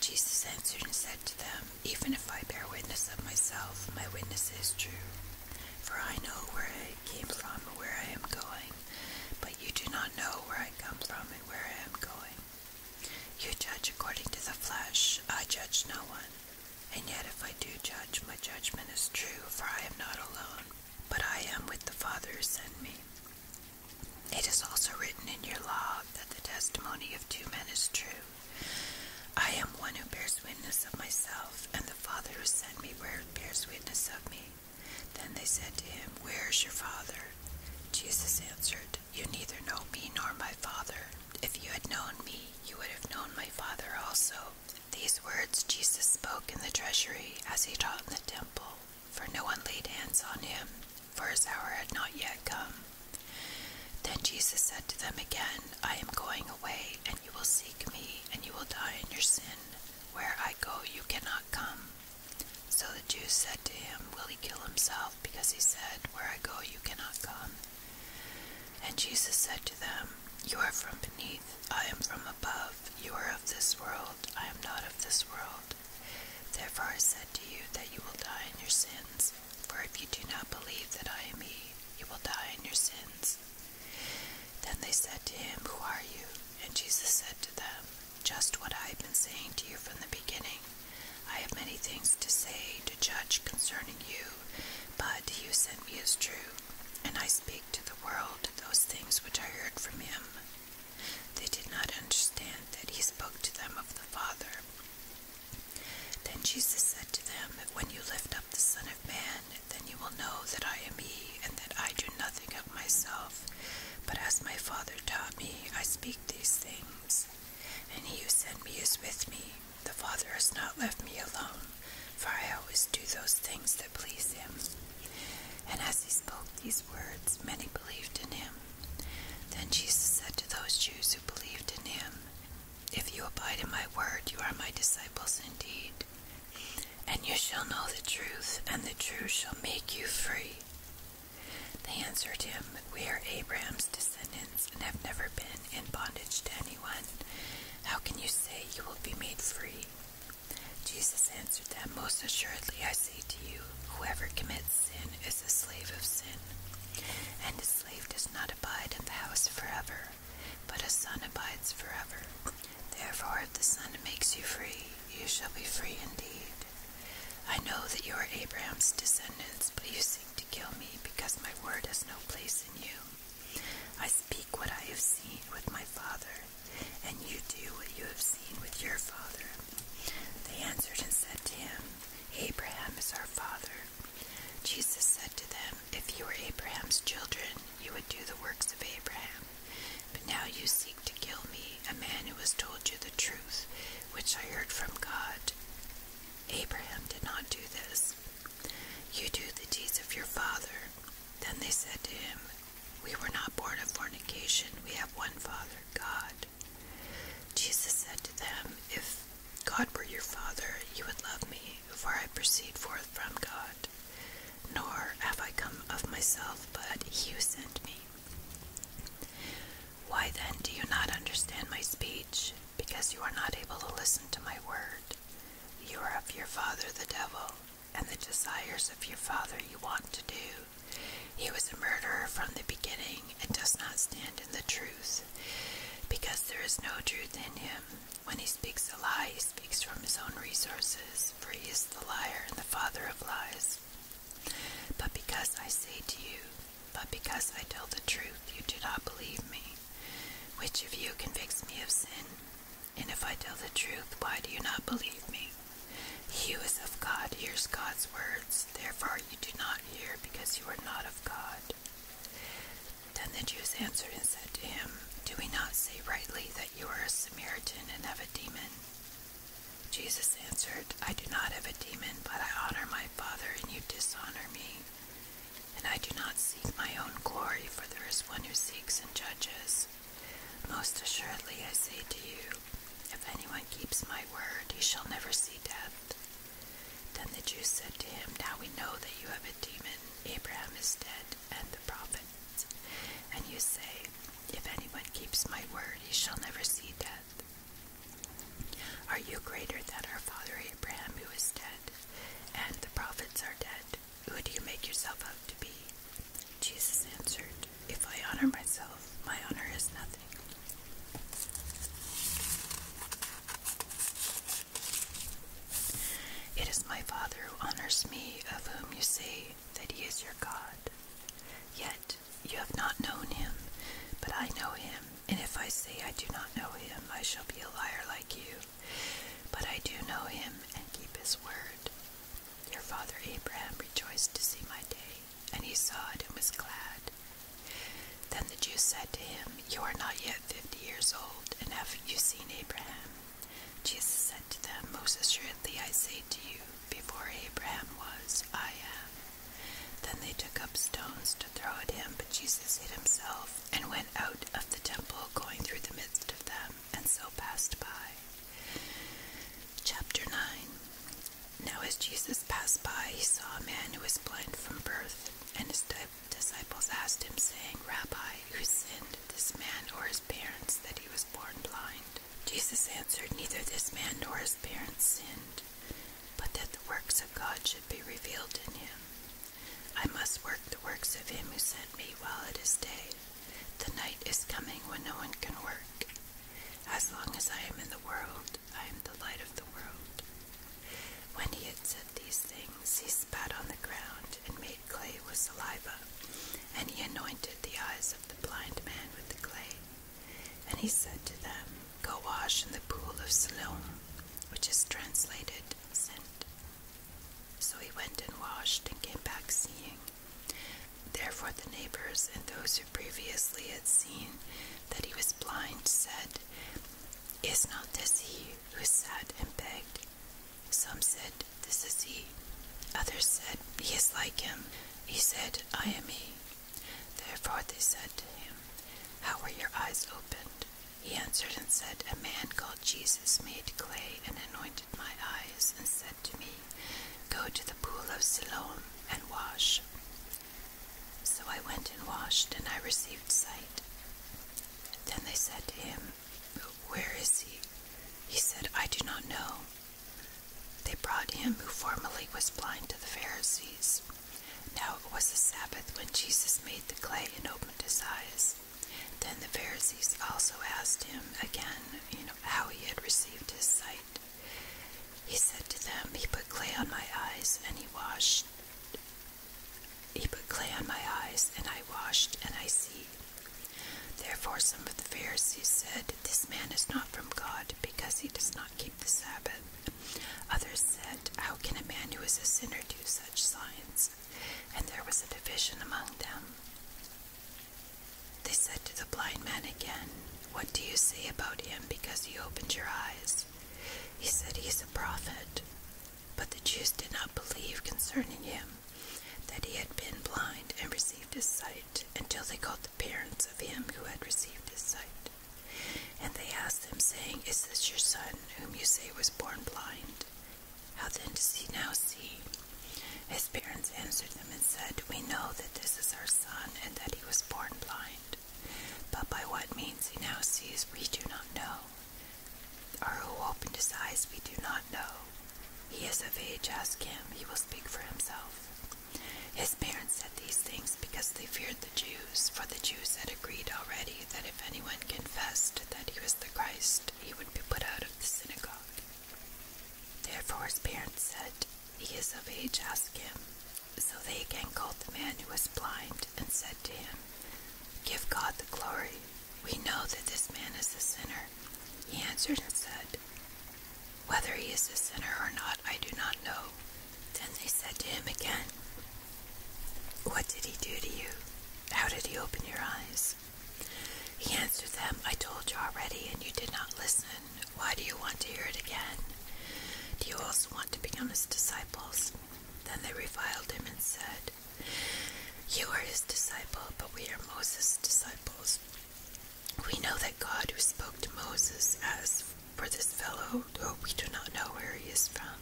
A: Jesus answered and said to them, Even if I bear witness of myself, my witness is true. For I know where I came from and where I am going, but you do not know where I come from and where I am going. You judge according to the flesh, I judge no one. And yet if I do judge, my judgment is true, for I am not alone, but I am with the Father who sent me. It is also written in your law that the testimony of two men is true. I am one who bears witness of myself, and the Father who sent me bears witness of me. Then they said to him, Where is your Father? Jesus answered, You neither know me nor my Father. If you had known me, you would have known my Father also. These words Jesus spoke in the treasury as he taught in the temple, for no one laid hands on him, for his hour had not yet come. Then Jesus said to them again, I am going away, and you will seek me, and you will die in your sin. Where I go, you cannot come. So the Jews said to him, Will he kill himself? Because he said, Where I go, you cannot come. And Jesus said to them, You are from beneath, I am from above." above, you are of this world, I am not of this world. Therefore I said to you that you will die in your sins, for if you do not believe that I am He, you will die in your sins. Then they said to him, Who are you? And Jesus said to them, Just what I have been saying to you from the beginning. I have many things to say, to judge concerning you, but he who sent me is true, and I speak to the world those things which I heard from him. They did not understand that he spoke to them of the Father. Then Jesus said to them, When you lift up the Son of Man, then you will know that I am he, and that I do nothing of myself. But as my Father taught me, I speak these things. And he who sent me is with me. The Father has not left me alone, for I always do those things that please him. And as he spoke these words, many believed in him. Then Jesus said to those Jews who believed in him, If you abide in my word, you are my disciples indeed. And you shall know the truth, and the truth shall make you free. They answered him, We are Abraham's descendants and have never been in bondage to anyone. How can you say you will be made free? Jesus answered them, Most assuredly I say to you, whoever commits sin is a slave of sin. And a slave does not abide in the house forever, but a son abides forever. Therefore, if the Son makes you free, you shall be free indeed. I know that you are Abraham's descendants, but you seek to kill me because my word has no place in you. I speak what I have seen with my Father and you do what you have seen with your father. They answered and said to him, Abraham is our father. Jesus said to them, If you were Abraham's children, you would do the works of Abraham. But now you seek to kill me, a man who has told you the truth, which I heard from God. Abraham did not do this. You do the deeds of your father. Then they said to him, we were not born of fornication. We have one Father, God. Jesus said to them, If God were your Father, you would love me, for I proceed forth from God. Nor have I come of myself, but you sent me. Why then do you not understand my speech? Because you are not able to listen to my word. You are of your father the devil, and the desires of your father you want to do. He was a murderer from the beginning and does not stand in the truth, because there is no truth in him. When he speaks a lie, he speaks from his own resources, for he is the liar and the father of lies. But because I say to you, but because I tell the truth, you do not believe me. Which of you convicts me of sin? And if I tell the truth, why do you not believe me? He who is of God hears God's words. Therefore you do not hear, because you are not of God. Then the Jews answered and said to him, Do we not say rightly that you are a Samaritan and have a demon? Jesus answered, I do not have a demon, but I honor my Father, and you dishonor me. And I do not seek my own glory, for there is one who seeks and judges. Most assuredly I say to you, if anyone keeps my word, he shall never see death. Then the Jews said to him, Now we know that you have a demon. Abraham is dead, and the prophets. And you say, If anyone keeps my word, he shall never see death. Are you greater than our father Abraham, who is dead, and the prophets are dead? Who do you make yourself out to be? Jesus answered, If I honor myself, my honor is nothing. It is my Father who honors me, of whom you say that he is your God. Yet you have not known him, but I know him, and if I say I do not know him, I shall be a liar like you. But I do know him and keep his word. Your father Abraham rejoiced to see my day, and he saw it and was glad. Then the Jews said to him, You are not yet fifty years old, and have you seen Abraham? Jesus said to them, Most assuredly I say to you, before Abraham was, I am. Then they took up stones to throw at him, but Jesus hid himself and went out of the temple, going through the midst of them, and so passed by. Chapter 9 Now, as Jesus passed by, he saw a man who was blind from birth, and his disciples asked him, saying, Rabbi, who sinned, this man or his parents, that he was born blind? Jesus answered, Neither this man nor his parents sinned, but that the works of God should be revealed in him. I must work the works of him who sent me while it is day. The night is coming when no one can work. As long as I am in the world, I am the light of the world. When he had said these things, he spat on the ground and made clay with saliva, and he anointed the eyes of the blind man with the clay. And he said to them, Go wash in the pool of Siloam, which is translated sent. So he went and washed and came back seeing. Therefore, the neighbors and those who previously had seen that he was blind said, Is not this he who sat and begged? Some said, This is he. Others said, He is like him. He said, I am he. Therefore they said to him, How were your eyes opened? He answered and said, A man called Jesus made clay and anointed my eyes, and said to me, Go to the pool of Siloam and wash. So I went and washed, and I received sight. Then they said to him, Where is he? He said, I do not know. They brought him who formerly was blind to the Pharisees. Now it was the Sabbath when Jesus made the clay and opened his eyes. Then the Pharisees also asked him again, how he had received his sight. He said to them, He put clay on my eyes, and he washed. He put clay on my eyes, and I washed, and I see. Therefore, some of the Pharisees said, This man is not from God, because he does not keep the Sabbath. Others said, How can a man who is a sinner do such signs? And there was a division among them. They said to the blind man again, What do you say about him because he opened your eyes? He said, He is a prophet. But the Jews did not believe concerning him that he had been blind and received his sight until they called the parents of him who had received his sight. And they asked them, saying, Is this your son, whom you say was born blind? How then does he now see? His parents answered them and said, We know that this is our son and that he was born blind. But by what means he now sees, we do not know. Or who opened his eyes, we do not know. He is of age, ask him, he will speak for himself. His parents said these things because they feared the Jews, for the Jews had agreed already that if anyone confessed that he was the Christ, he would be put out of the synagogue. Therefore his parents said, He is of age, ask him. So they again called the man who was blind and said to him, Give God the glory. We know that this man is a sinner. He answered and said, Whether he is a sinner or not, I do not know. Then they said to him again, What did he do to you? How did he open your eyes? He answered them, I told you already, and you did not listen. Why do you want to hear it again? Do you also want to become his disciples? Then they reviled him and said, You are his disciple, but we are Moses' disciples. We know that God who spoke to Moses as for this fellow, though we do not know where he is from.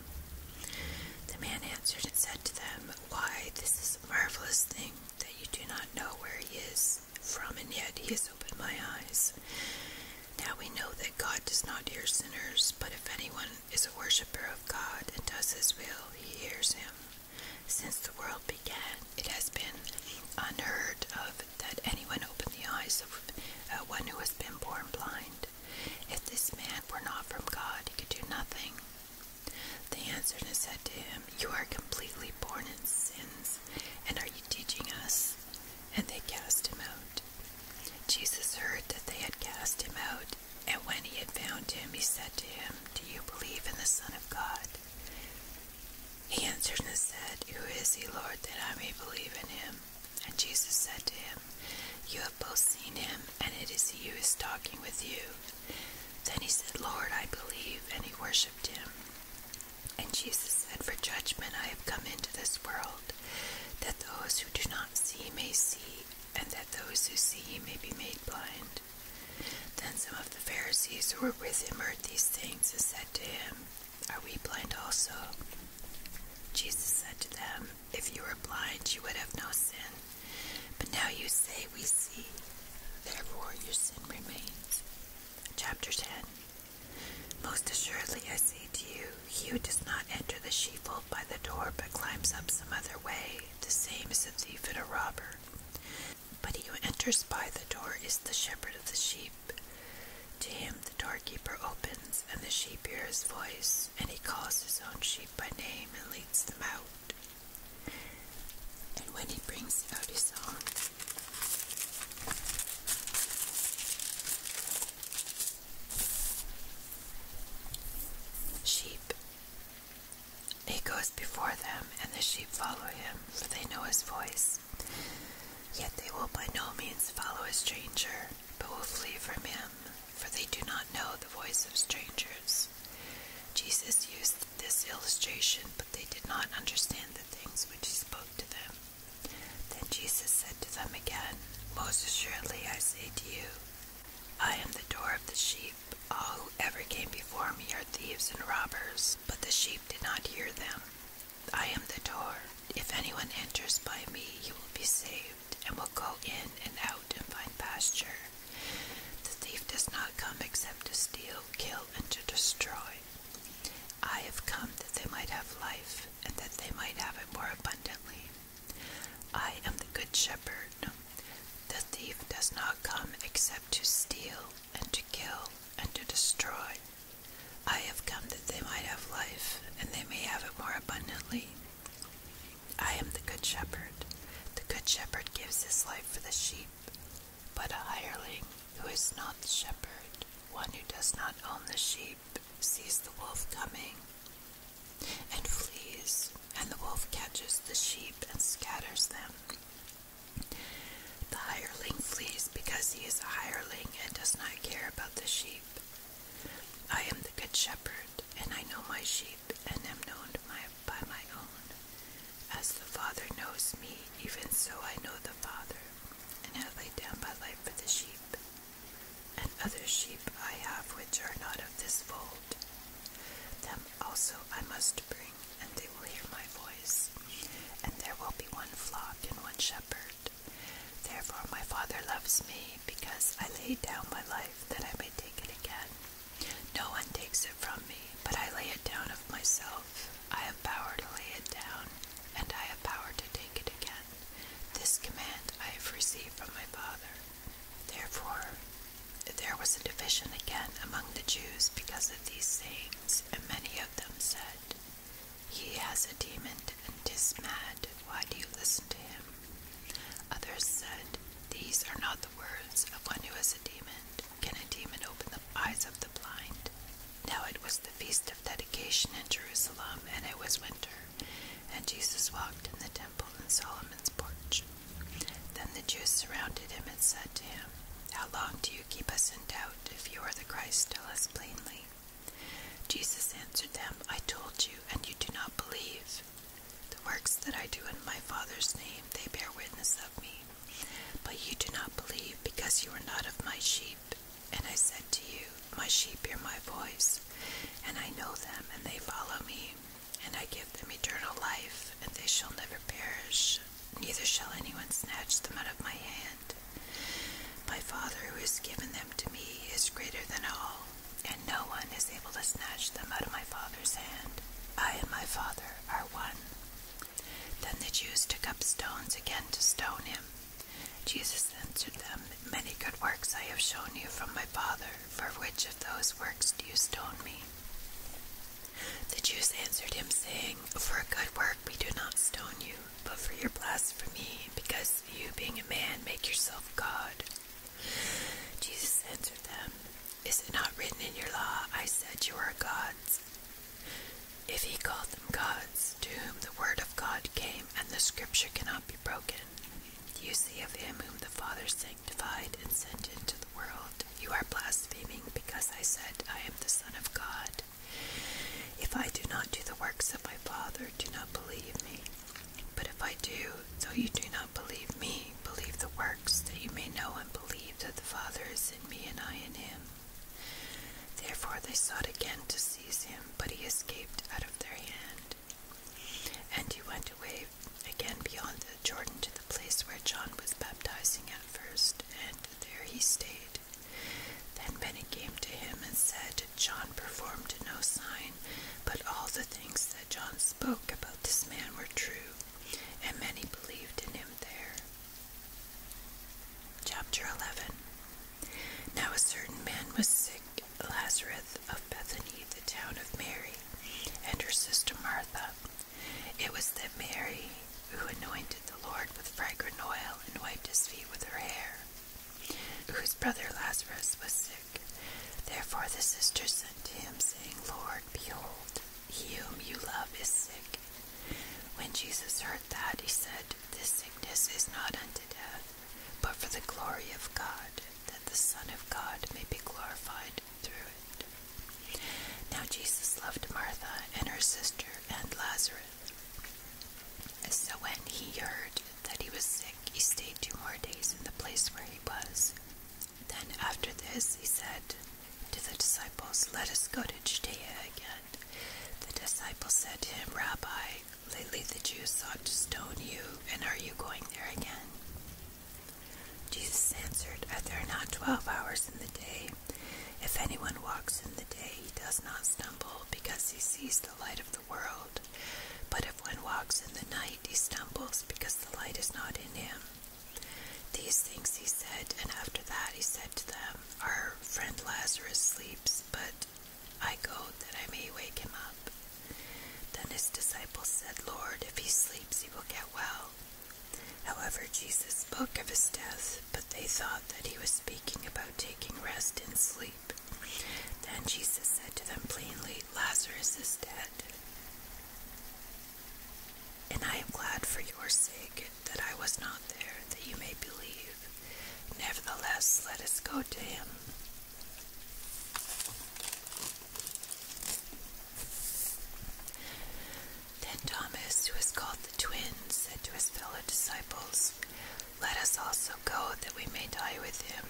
A: The man answered and said to them, Why, this is a marvelous thing that you do not know where he is from, and yet he has opened my eyes. Now we know that God does not hear sinners, but if anyone is a worshiper of God and does his will, he hears him. Since the world began, it has been unheard of that anyone opened the eyes of uh, one who has been born blind. If this man were not from God, he could do nothing. They answered and said to him, You are completely born in sins, and are you teaching us? And they cast him out. Jesus heard that they had cast him out, and when he had found him, he said to him, Do you believe in the Son of God? He answered and said, Who is he, Lord, that I may believe in him? And Jesus said to him, You have both seen him, and it is he who is talking with you. Then he said, Lord, I believe, and he worshipped him. And Jesus said, For judgment I have come into this world, that those who do not see may see, and that those who see may be made blind. Then some of the Pharisees who were with him heard these things and said to him, Are we blind also? Jesus said to them, If you were blind, you would have no sin. But now you say we see, therefore your sin remains. Chapter 10 Most assuredly I say to you, he who does not enter the sheepfold by the door, but climbs up some other way, the same as a thief and a robber. But he who enters by the door is the shepherd of the sheep. To him the doorkeeper opens, and the sheep hear his voice, and he calls his own sheep by name and leads them out and when he brings out his own, sheep. He goes before them, and the sheep follow him, for they know his voice. Yet they will by no means follow a stranger, but will flee from him, for they do not know the voice of strangers. Jesus used this illustration, but they did not understand the things which he spoke to them. Then Jesus said to them again, Most assuredly I say to you, I am the door of the sheep. All who ever came before me are thieves and robbers, but the sheep did not hear them. I am the door. If anyone enters by me, he will be saved, and will go in and out and find pasture. The thief does not come except to steal kill, and to destroy. I have come that they might have life, and that they might have it more abundantly. I am the good shepherd. The thief does not come except to steal, and to kill, and to destroy. I have come that they might have life, and they may have it more abundantly. I am the good shepherd. The good shepherd gives his life for the sheep. But a hireling who is not the shepherd, one who does not own the sheep, sees the wolf coming and flees, and the wolf catches the sheep and scatters them. The hireling flees because he is a hireling and does not care about the sheep. I am the good shepherd, and I know my sheep, and am known to my by my own. As the Father knows me, even so I know the Father, and have laid down my life for the sheep. And other sheep I have which are not of this fold. Them also I must bring, and they will hear my voice. And there will be one flock and one shepherd. Therefore my Father loves me, because I lay down my life that I may take it again. No one takes it from me, but I lay it down of myself. I have power to lay it down, and I have power to take it again. This command I have received from my Father. Therefore, there was a division again among the Jews because of these sayings, and many of them said, He has a demon and is mad. Why do you listen to him? Others said, These are not the words of one who has a demon can a demon open the eyes of the blind? Now it was the feast of dedication in Jerusalem, and it was winter, and Jesus walked in the temple in Solomon's porch. Then the Jews surrounded him and said to him, How long do you keep us in doubt? If you are the Christ, tell us plainly. Jesus answered them, I told you, and you do not believe. The works that I do in my Father's name, they bear witness of me, but you do not believe, because you are not of my sheep. And I said to you, My sheep hear my voice, and I know them, and they follow me. And I give them eternal life, and they shall never perish, neither shall anyone snatch them out of my hand. My Father, who has given them to me, is greater than all, and no one is able to snatch them out of my Father's hand. I and my Father are one. Then the Jews took up stones again to stone him. Jesus answered them, Many good works I have shown you from my Father. For which of those works do you stone me? The Jews answered him, saying, For a good work we do not stone you, but for your blasphemy, because you, being a man, make yourself God. Jesus answered them, Is it not written in your law, 'I said you are gods? If he called them gods, to whom the word of God came and the scripture cannot be broken, you see of him whom the Father sanctified and sent into the world, you are blaspheming because I said, I am the Son of God. If I do not do the works of my Father, do not believe me. But if I do, though you do not believe me, believe the works, that you may know and believe that the Father is in me and I in him. Therefore they sought again to seize him, but he escaped out of their hand. And he went away again beyond the Jordan to the place where John was baptizing at first, and there he stayed. Then many came to him and said, John performed no sign, but all the things that John spoke about this man were true, and many believed in him there. Chapter 11 Now a certain man was sick, Lazarus of Bethany, the town of Mary, and her sister Martha. It was that Mary who anointed the Lord with fragrant oil and wiped his feet with her hair, whose brother Lazarus was sick. Therefore the sisters sent to him, saying, Lord, behold, he whom you love is sick. When Jesus heard that, he said, This sickness is not unto death, but for the glory of God, that the Son of God may be glorified through it. Now Jesus loved Martha and her sister and Lazarus. So when he heard that he was sick, he stayed two more days in the place where he was. Then after this, he said, to the disciples, Let us go to Judea again. The disciples said to him, Rabbi, lately the Jews sought to stone you, and are you going there again? Jesus answered, Are there not twelve hours in the day? If anyone walks in the day, he does not stumble, because he sees the light of the world. But if one walks in the night, he stumbles, because the light is not in him. These things he said, and after that he said to them, our friend Lazarus sleeps, but I go that I may wake him up. Then his disciples said, Lord, if he sleeps, he will get well. However, Jesus spoke of his death, but they thought that he was speaking about taking rest in sleep. Then Jesus said to them plainly, Lazarus is dead. And I am glad for your sake that I was not there, that you may believe. Nevertheless, let us go to him. Then Thomas, who was called the twin, said to his fellow disciples, Let us also go, that we may die with him.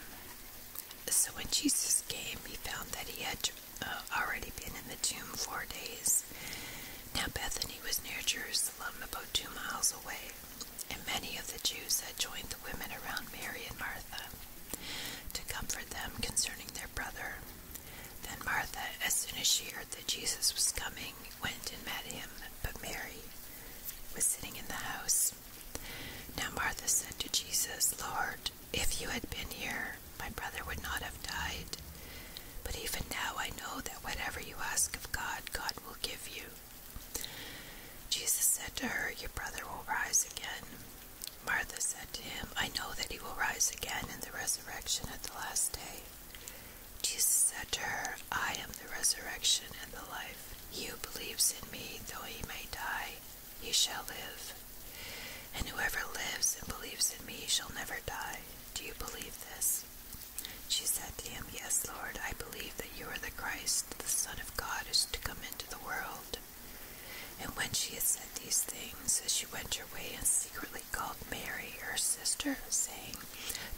A: So when Jesus came, he found that he had uh, already been in the tomb four days. Now Bethany was near Jerusalem, about two miles away, and many of the Jews had joined the women around Mary and Martha to comfort them concerning their brother. Then Martha, as soon as she heard that Jesus was coming, went and met him, but Mary was sitting in the house. Now Martha said to Jesus, Lord, if you had been here, my brother would not have died. But even now I know that whatever you ask of God, God will give you. Jesus said to her, Your brother will rise again. Martha said to him, I know that he will rise again in the resurrection at the last day. Jesus said to her, I am the resurrection and the life. He who believes in me, though he may die, he shall live. And whoever lives and believes in me shall never die. Do you believe this? She said to him, Yes, Lord, I believe that you are the Christ, the Son of God, who is to come into the world. And when she had said these things, as she went her way and secretly called Mary, her sister, saying,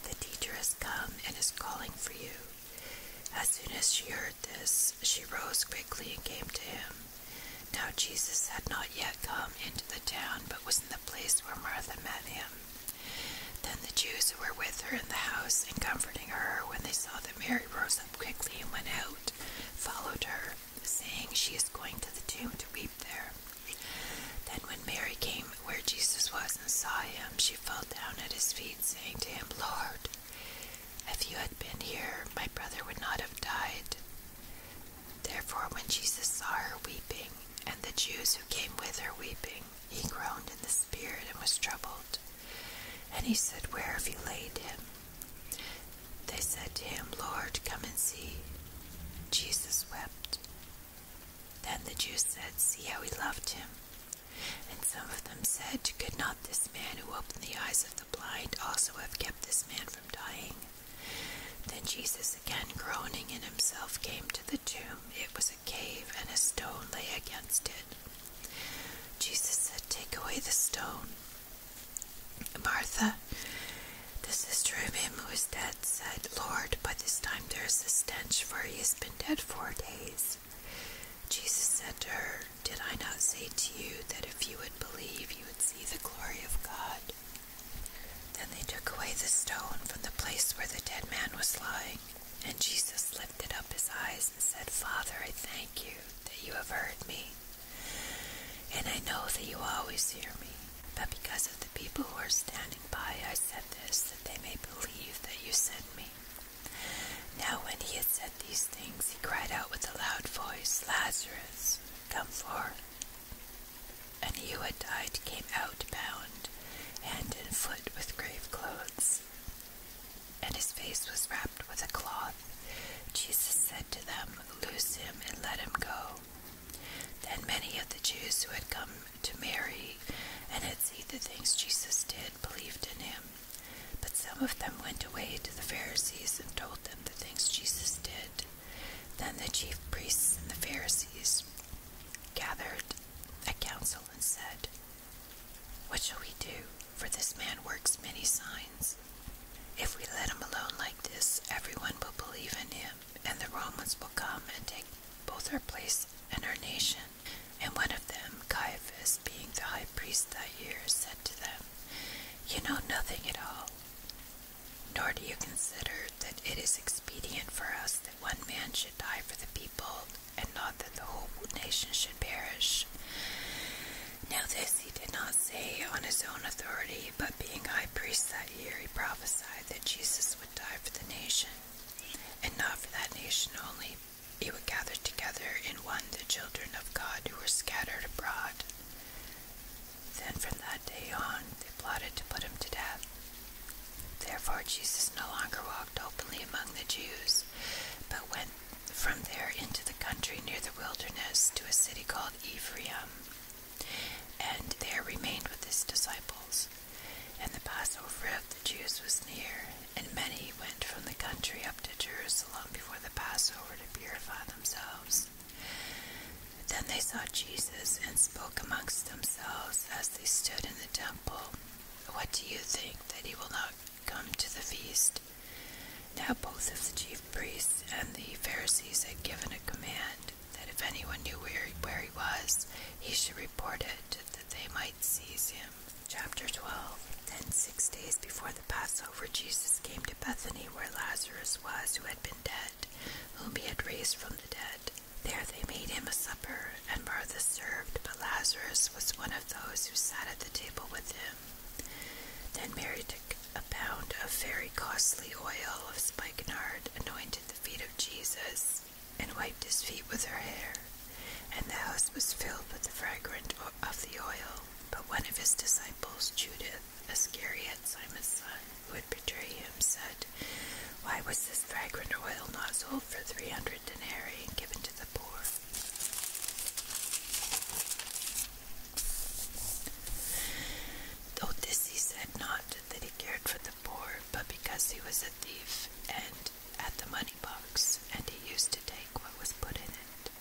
A: The teacher has come and is calling for you. As soon as she heard this, she rose quickly and came to him. Now Jesus had not yet come into the town, but was the place where Martha met him. Then the Jews who were with her in the house and comforting her when they saw that Mary rose up quickly and went out, followed her, saying, She is going to the tomb to weep there. Then when Mary came where Jesus was and saw him, she fell down at his feet, saying to him, Lord, if you had been here, my brother would not have died. Therefore, when Jesus saw her weeping, and the Jews who came with her weeping, he groaned in the spirit and was troubled. And he said, Where have you laid him? They said to him, Lord, come and see. Jesus wept. Then the Jews said, See how he loved him. And some of them said, Could not this man who opened the eyes of the blind also have kept this man from dying? Then Jesus, again groaning in himself, came to the tomb. It was a cave, and a stone lay against it. Jesus said, Take away the stone. Martha, the sister of him who is dead, said, Lord, by this time there is a stench, for he has been dead four days. Jesus said to her, Did I not say to you that if you would believe, you would see the glory of God? Then they took away the stone from the place where the dead man was lying, and Jesus lifted up his eyes and said, Father, I thank you that you have heard me, and I know that you always hear me. But because of the people who are standing by, I said this, that they may believe that you sent me. Now, when he had said these things, he cried out with a loud voice, Lazarus, come forth and he who had died came out bound hand and foot with grave clothes, and his face was wrapped with a cloth. Jesus said to them, Loose him and let him go. Then many of the Jews who had come to Mary and had seen the things Jesus did believed in him. But some of them went away to the Pharisees and told them the things Jesus did. Then the chief priests and the Pharisees gathered a council and said, What shall we do? For this man works many signs. If we let him alone like this, everyone will believe in him, and the Romans will come and take both our place and our nation. And one of them, Caiaphas, being the high priest that year, said to them, You know nothing at all. Nor do you consider that it is expedient for us that one man should die for the people, and not that the whole nation should perish. Now, this he did not say on his own authority, but being high priest that year, he prophesied that Jesus would die for the nation, and not for that nation only. He would gather together in one the children of God who were scattered abroad. Then from that day on, they plotted to put him to death. Therefore, Jesus no longer walked openly among the Jews, but went from there into the country near the wilderness to a city called Ephraim, and there remained with his disciples. And the Passover of the Jews was near, and many went from the country up to Jerusalem before the Passover to purify themselves. Then they saw Jesus and spoke amongst themselves as they stood in the temple. What do you think that he will not come to the feast? Now both of the chief priests and the Pharisees had given a command that if anyone knew where, he was, he should report it that they might seize him. Chapter 12 Then six days before the Passover, Jesus came to Bethany where Lazarus was, who had been dead whom he had raised from the dead. There they made him a supper, and Martha served, but Lazarus was one of those who sat at the table with him. Then Mary took a pound of very costly oil of spikenard, anointed the feet of Jesus, and wiped his feet with her hair. And the house was filled with the fragrance of the oil. But one of his disciples, Judith Iscariot, Simon's son, who would betray him, said, Why was this fragrant oil not sold for three hundred denarii and given to the poor? Though this he said not that he cared for the poor, but because he was a thief and at the money box, and he used to take what was put in it.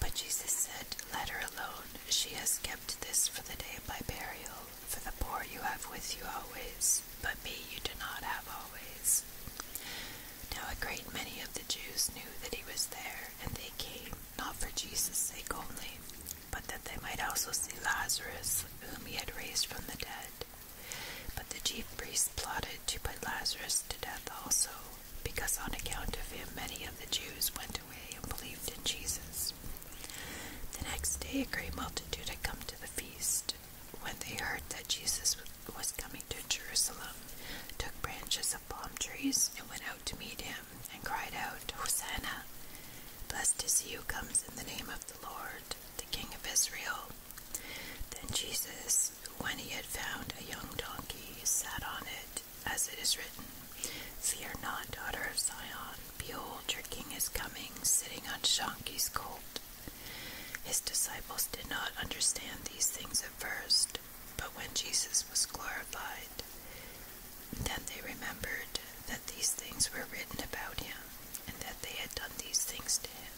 A: But Jesus said, Let her alone, she has kept this for the day of my burial for the poor you have with you always, but me you do not have always. Now a great many of the Jews knew that he was there, and they came, not for Jesus' sake only, but that they might also see Lazarus, whom he had raised from the dead. But the chief priests plotted to put Lazarus to death also, because on account of him many of the Jews went away and believed in Jesus. The next day, a great multitude had come to the feast. When they heard that Jesus was coming to Jerusalem, took branches of palm trees and went out to meet him, and cried out, Hosanna! Blessed is he who comes in the name of the Lord, the King of Israel. Then Jesus, when he had found a young donkey, sat on it, as it is written, "See, are not, daughter of Zion. Behold, your king is coming, sitting on Shanki's colt. His disciples did not understand these things at first, but when Jesus was glorified, then they remembered that these things were written about him, and that they had done these things to him.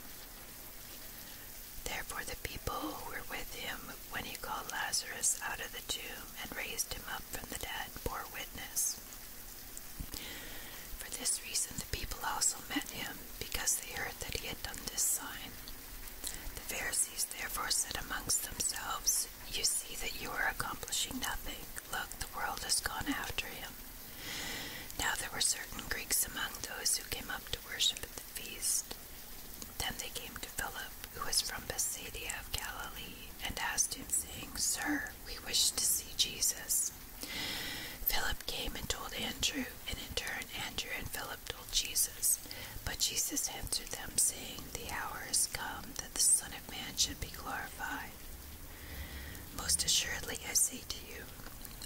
A: Therefore, the people who were with him when he called Lazarus out of the tomb and raised him up from the dead bore witness. For this reason the people also met him, because they heard that he had done this sign. The Pharisees therefore said amongst themselves, You see that you are accomplishing nothing. Look, the world has gone after him. Now there were certain Greeks among those who came up to worship at the feast. Then they came to Philip, who was from Bethsaida of Galilee, and asked him, saying, Sir, we wish to see Jesus. Philip came and told Andrew, and in turn Andrew and Philip told Jesus. But Jesus answered them, saying, The hour is come that the Son of Man should be glorified. Most assuredly I say to you,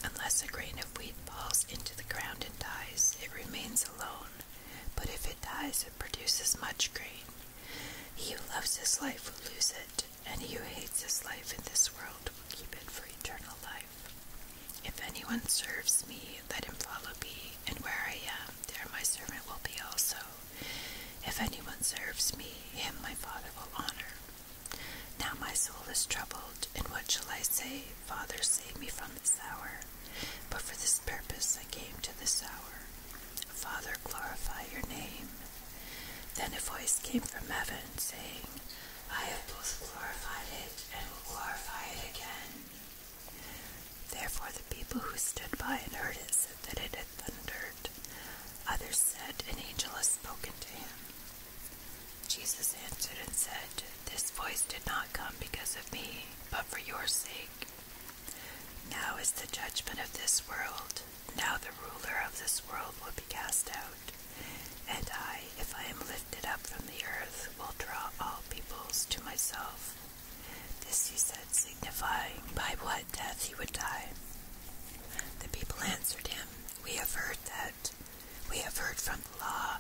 A: unless a grain of wheat falls into the ground and dies, it remains alone. But if it dies, it produces much grain. He who loves his life will lose it, it, and he who hates this life in this world will keep it for eternal life. If anyone serves me, let him follow me, and where I am, there my servant will be also. If anyone serves me, him my Father will honor. Now my soul is troubled, and what shall I say? Father, save me from this hour. But for this purpose I came to this hour. Father, glorify your name. Then a voice came from heaven, saying, I have both glorified it and will glorify it again. Therefore the people who stood by and heard it said that it had thundered. Others said, An angel has spoken to him. Jesus answered and said, This voice did not come because of me, but for your sake. Now is the judgment of this world. Now the ruler of this world will be cast out. And I, if I am lifted up from the earth, will draw all peoples to myself. This he said, signifying by what death he would die. The people answered him, We have heard that. We have heard from the law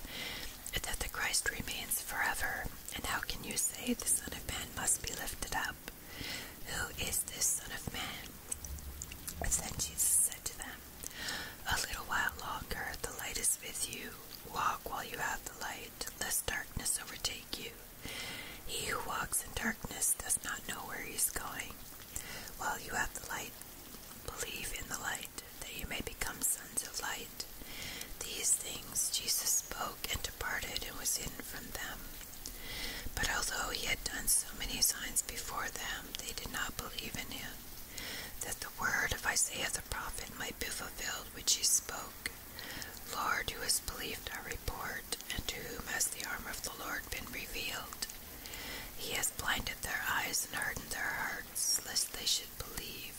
A: that the Christ remains forever. And how can you say the Son of Man must be lifted up? Who is this Son of Man? Then Jesus said to them, A little while longer, the light is with you. Walk while you have the light, lest darkness overtake you. He who walks in darkness does not know where he is going. While you have the light, believe in the light, that you may become sons of light. These things Jesus spoke and departed and was hidden from them. But although he had done so many signs before them, they did not believe in him, that the word of Isaiah the prophet might be fulfilled which he spoke. Lord, who has believed our report, and to whom has the arm of the Lord been revealed? He has blinded their eyes and hardened their hearts, lest they should believe,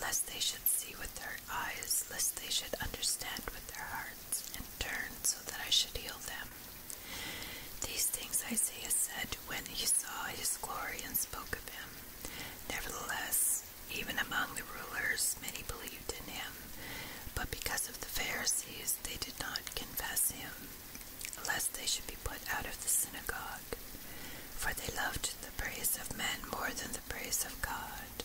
A: lest they should see with their eyes, lest they should understand with their hearts and turned so that I should heal them. These things Isaiah said when he saw his glory and spoke of him. Nevertheless, even among the rulers, many believed in him, but because of the Pharisees, they did not confess him, lest they should be put out of the synagogue. For they loved the praise of men more than the praise of God.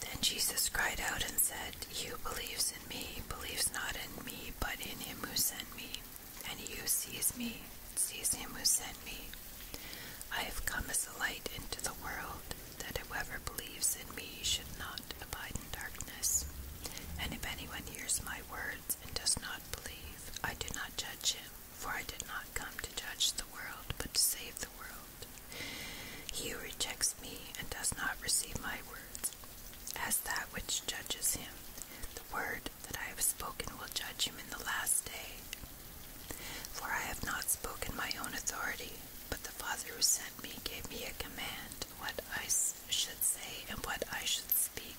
A: Then Jesus cried out and said, He who believes in me believes not in me, but in him who sent me. And he who sees me sees him who sent me. I have come as a light into the world, that whoever believes in me should not abide in darkness. And if anyone hears my words and does not believe, I do not judge him, for I did not come to judge the world, but to save the world. He who rejects me and does not receive my words, as that which judges him, the word that I have spoken will judge him in the last day. For I have not spoken my own authority, but the Father who sent me gave me a command what I should say and what I should speak.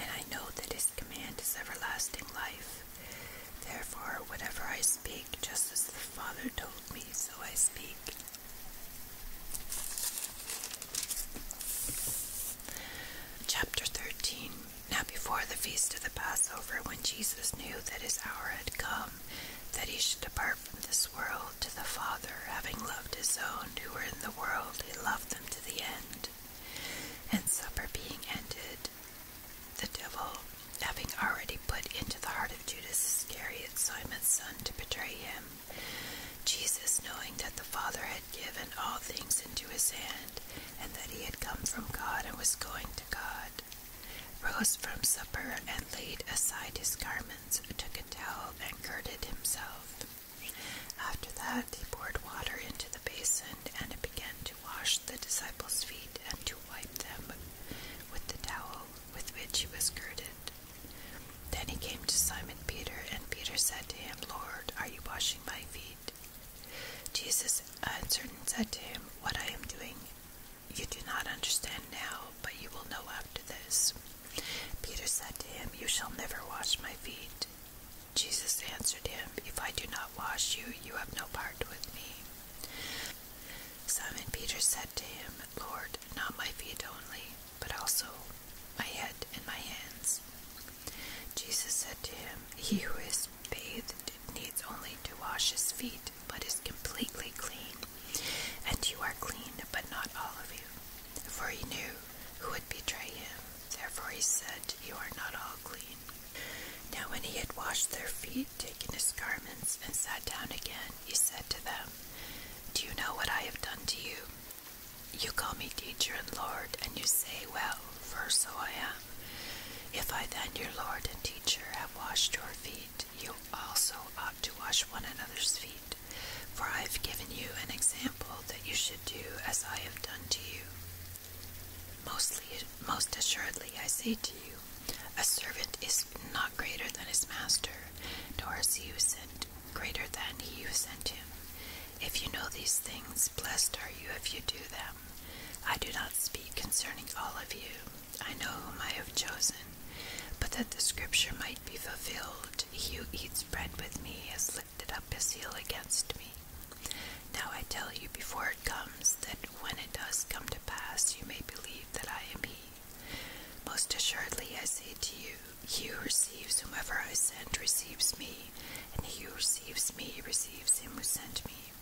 A: And I know that his command is everlasting life. Therefore, whatever I speak, just as the Father told me, so I speak. Chapter 13 Now before the feast of the Passover, when Jesus knew that his hour had come, that he should depart from this world to the Father, having loved his own who were in the world, he loved them to the end. And supper being ended, the devil, having already put into the heart Judas Iscariot, Simon's son, to betray him. Jesus, knowing that the Father had given all things into his hand, and that he had come from God and was going to God, rose from supper and laid aside his garments, took a towel, and girded himself. After that, he poured water into the basin, and began to wash the disciples' feet and to wipe them with the towel with which he was girded. Then he came to Simon Peter, and Peter said to him, Lord, are you washing my feet? Jesus answered and said to him, What I am doing you do not understand now, but you will know after this. Peter said to him, You shall never wash my feet. Jesus answered him, If I do not wash you, you have no part with me. Simon Peter said, to him, Lord, not my feet only, but also my head and my hands. Jesus said to him, He who is bathed needs only to wash his feet, but is completely clean. And you are clean, but not all of you. For he knew who would betray him. Therefore he said, You are not all clean. Now when he had washed their feet, taken his garments, and sat down again, he said to them, do you know what I have done to you? You call me teacher and Lord, and you say, Well, for so I am. If I then, your Lord and teacher, have washed your feet, you also ought to wash one another's feet. For I have given you an example that you should do as I have done to you. Mostly, most assuredly, I say to you, a servant is not greater than his master, nor is he who sent greater than he who sent him. If you know these things, blessed are you if you do them. I do not speak concerning all of you. I know whom I have chosen, but that the scripture might be fulfilled, he who eats bread with me has lifted up his heel against me. Now I tell you before it comes, that when it does come to pass, you may believe that I am he. Most assuredly I say to you, he who receives whomever I send receives me, and he who receives me receives him who sent me.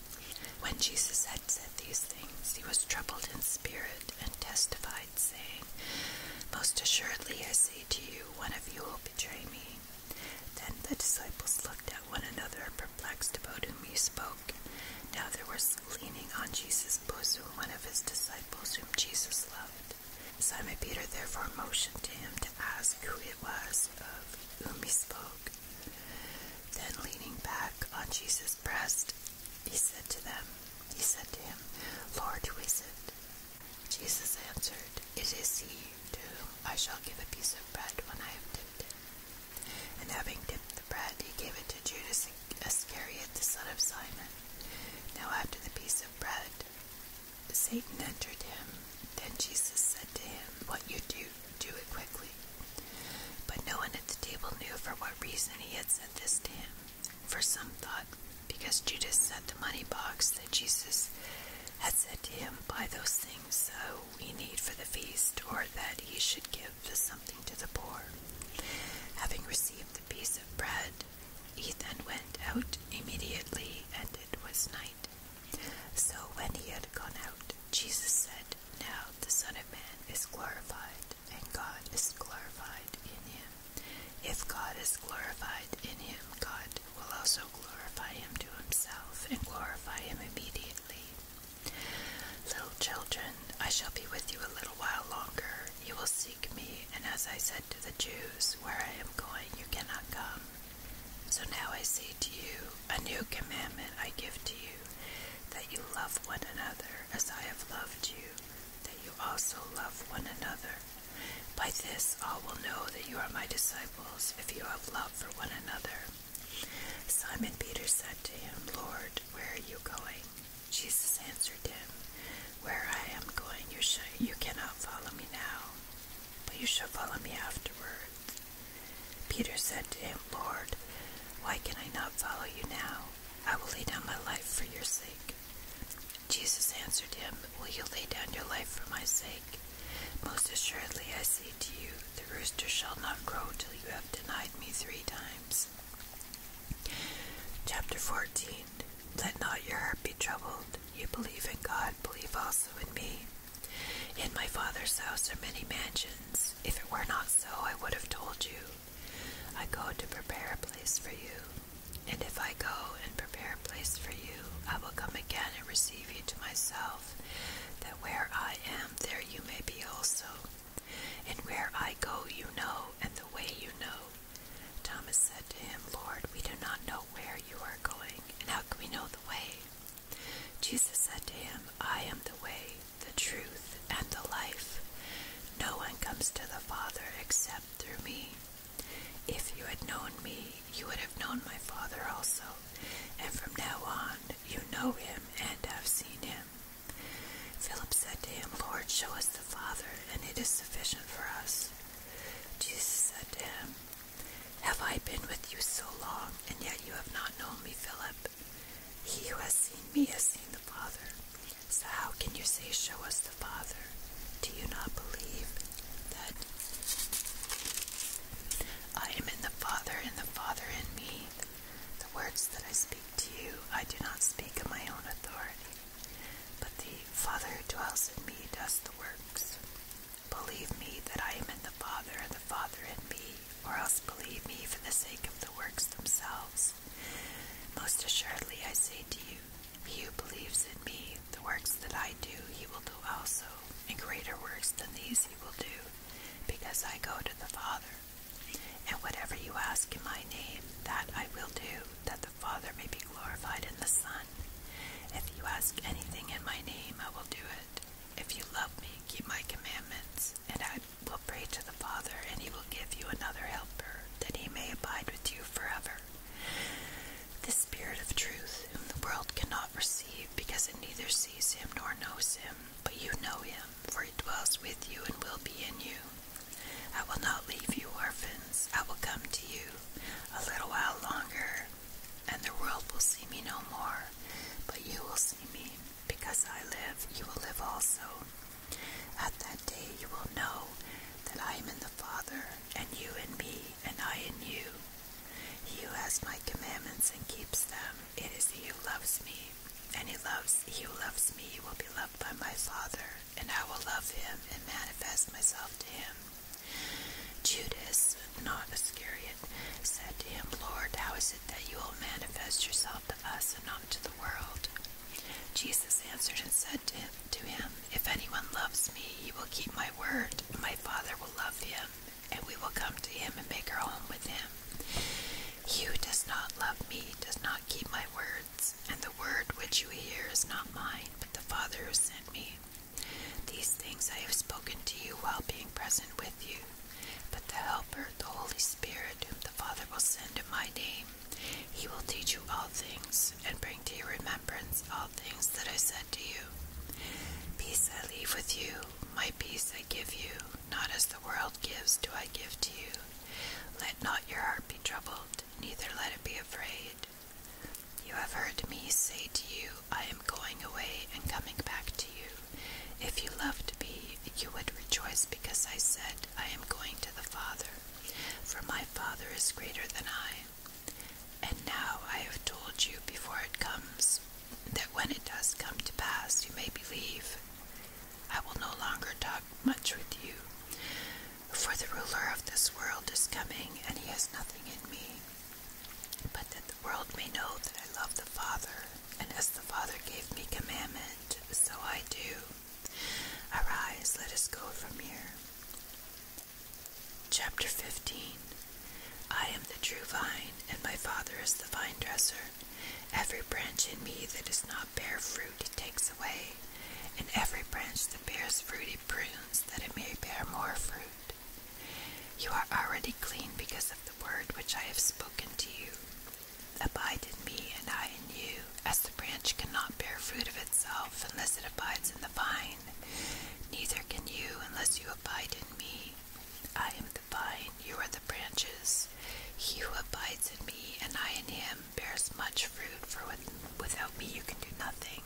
A: When Jesus had said these things, he was troubled in spirit and testified, saying, Most assuredly I say to you, one of you will betray me. Then the disciples looked at one another, perplexed about whom he spoke. Now there was leaning on Jesus his bosom one of his disciples whom Jesus loved. Simon Peter therefore motioned to him to ask who it was of whom he spoke. Then leaning back on Jesus' breast, he said to them, he said to him, Lord, who is it? Jesus answered, It is he to whom I shall give a piece of bread when I have dipped it. And having dipped the bread, he gave it to Judas Iscariot, the son of Simon. Now after the piece of bread, Satan entered him. Then Jesus said to him, What you do, do it quickly. But no one at the table knew for what reason he had said this to him. For some thought, because Judas had the money box, that Jesus had said to him, Buy those things so we need for the feast, or that he should give something to the poor. Having received the piece of bread, Ethan went out immediately, and it was night. So when he had gone out, Jesus said, Now the Son of Man is glorified, and God is glorified in him. If God is glorified in him, God will also glorify him to himself, and glorify him immediately. Little children, I shall be with you a little while longer. You will see me, and as I said to the Jews, Where I am going, you cannot come. So now I say to you, A new commandment I give to you, that you love one another as I have loved you, that you also love one another. By this all will know that you are my disciples, if you have love for one another. Simon Peter said to him, Lord, where are you going? Jesus answered him, Where I am going, you, shall, you cannot follow me now, but you shall follow me afterward." Peter said to him, Lord, why can I not follow you now? I will lay down my life for your sake. Jesus answered him, Will you lay down your life for my sake? Most assuredly, I say to you, the rooster shall not crow till you have denied me three times. Chapter 14 Let not your heart be troubled. You believe in God, believe also in me. In my Father's house are many mansions. If it were not so, I would have told you. I go to prepare a place for you. And if I go and prepare a place for you, I will come again and receive you to myself, that where I am, there you may be also. And where I go, you know, and the way you know. Thomas said to him, Lord, we do not know where you are going, and how can we know the way? Jesus said to him, I am the way, the truth, and the life. No one comes to the Father except through me. If you had known me, you would have known my Father also, and from now on you know him and have seen him. Philip said to him, Lord, show us the Father, and it is sufficient for us. Jesus said to him, Have I been with you so long, and yet you have not known me, Philip? He who has seen me has seen the Father. So how can you say, 'Show us the Father? Do you not believe that I am in the Father, and the Father in me? The words that I speak to you, I do not speak of my own authority but the Father who dwells in me does the works. Believe me that I am in the Father, and the Father in me, or else believe me for the sake of the works themselves. Most assuredly I say to you, he who believes in me, the works that I do, he will do also, and greater works than these he will do, because I go to the Father. And whatever you ask in my name, that I will do, that the Father may be glorified in the Son. If you ask anything in my name, I will do it. If you love me, keep my commandments, and I will pray to the Father, and he will give you another helper, that he may abide with you forever. The Spirit of truth, whom the world cannot receive, because it neither sees him nor knows him, but you know him, for he dwells with you and will be in you. I will not leave you orphans. I will come to you a little while longer, and the world will see me no more. But you will see me, because I live, you will live also. At that day you will know that I am in the Father, and you in me, and I in you. He who has my commandments and keeps them, it is he who loves me. And he loves he who loves me will be loved by my Father, and I will love him and manifest myself to him. Judas, not Iscariot, said to him, Lord, how is it that you will manifest yourself to us and not to the world? Jesus answered and said to him, to him, If anyone loves me, he will keep my word. and My Father will love him, and we will come to him and make our home with him. He does not love me does not keep my word and the word which you hear is not mine, but the Father who sent me. These things I have spoken to you while being present with you. But the Helper, the Holy Spirit, whom the Father will send in my name, he will teach you all things, and bring to your remembrance all things that I said to you. Peace I leave with you, my peace I give you, not as the world gives do I give to you. Let not your heart be troubled, neither let it be afraid. You have heard me say to you, I am going away and coming back to you. If you loved me, you would rejoice because I said, I am going to the Father, for my Father is greater than I. And now I have told you before it comes, that when it does come to pass, you may believe. I will no longer talk much with you, for the ruler of this world is coming, and he has nothing in me, but that the world may know that I love the Father, and as the Father gave me commandment, so I do. Arise, let us go from here. Chapter 15 I am the true vine, and my Father is the vine dresser. Every branch in me that is not bear fruit, it takes away, and every branch that bears fruit it prunes, that it may bear more fruit. You are already clean because of the word which I have spoken to you. Abide in me, and I in you, as the branch cannot bear fruit of itself unless it abides in the vine. Neither can you unless you abide in me. I am the vine, you are the branches. He who abides in me, and I in him, bears much fruit, for without me you can do nothing.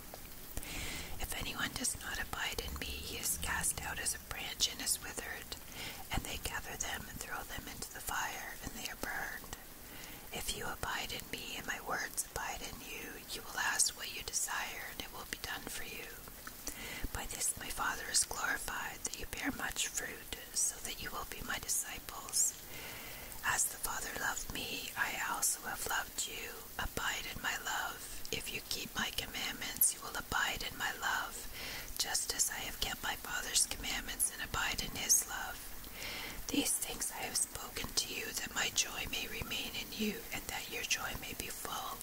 A: If anyone does not abide in me, he is cast out as a branch and is withered, and they gather them and throw them into the fire, and they are burned. If you abide in me, and my words abide in you, you will ask what you desire, and it will be done for you. By this my Father is glorified, that you bear much fruit, so that you will be my disciples. As the Father loved me, I also have loved you. Abide in my love. If you keep my commandments, you will abide in my love, just as I have kept my Father's commandments and abide in his love. These things I have spoken to you, that my joy may remain in you, and that your joy may be full.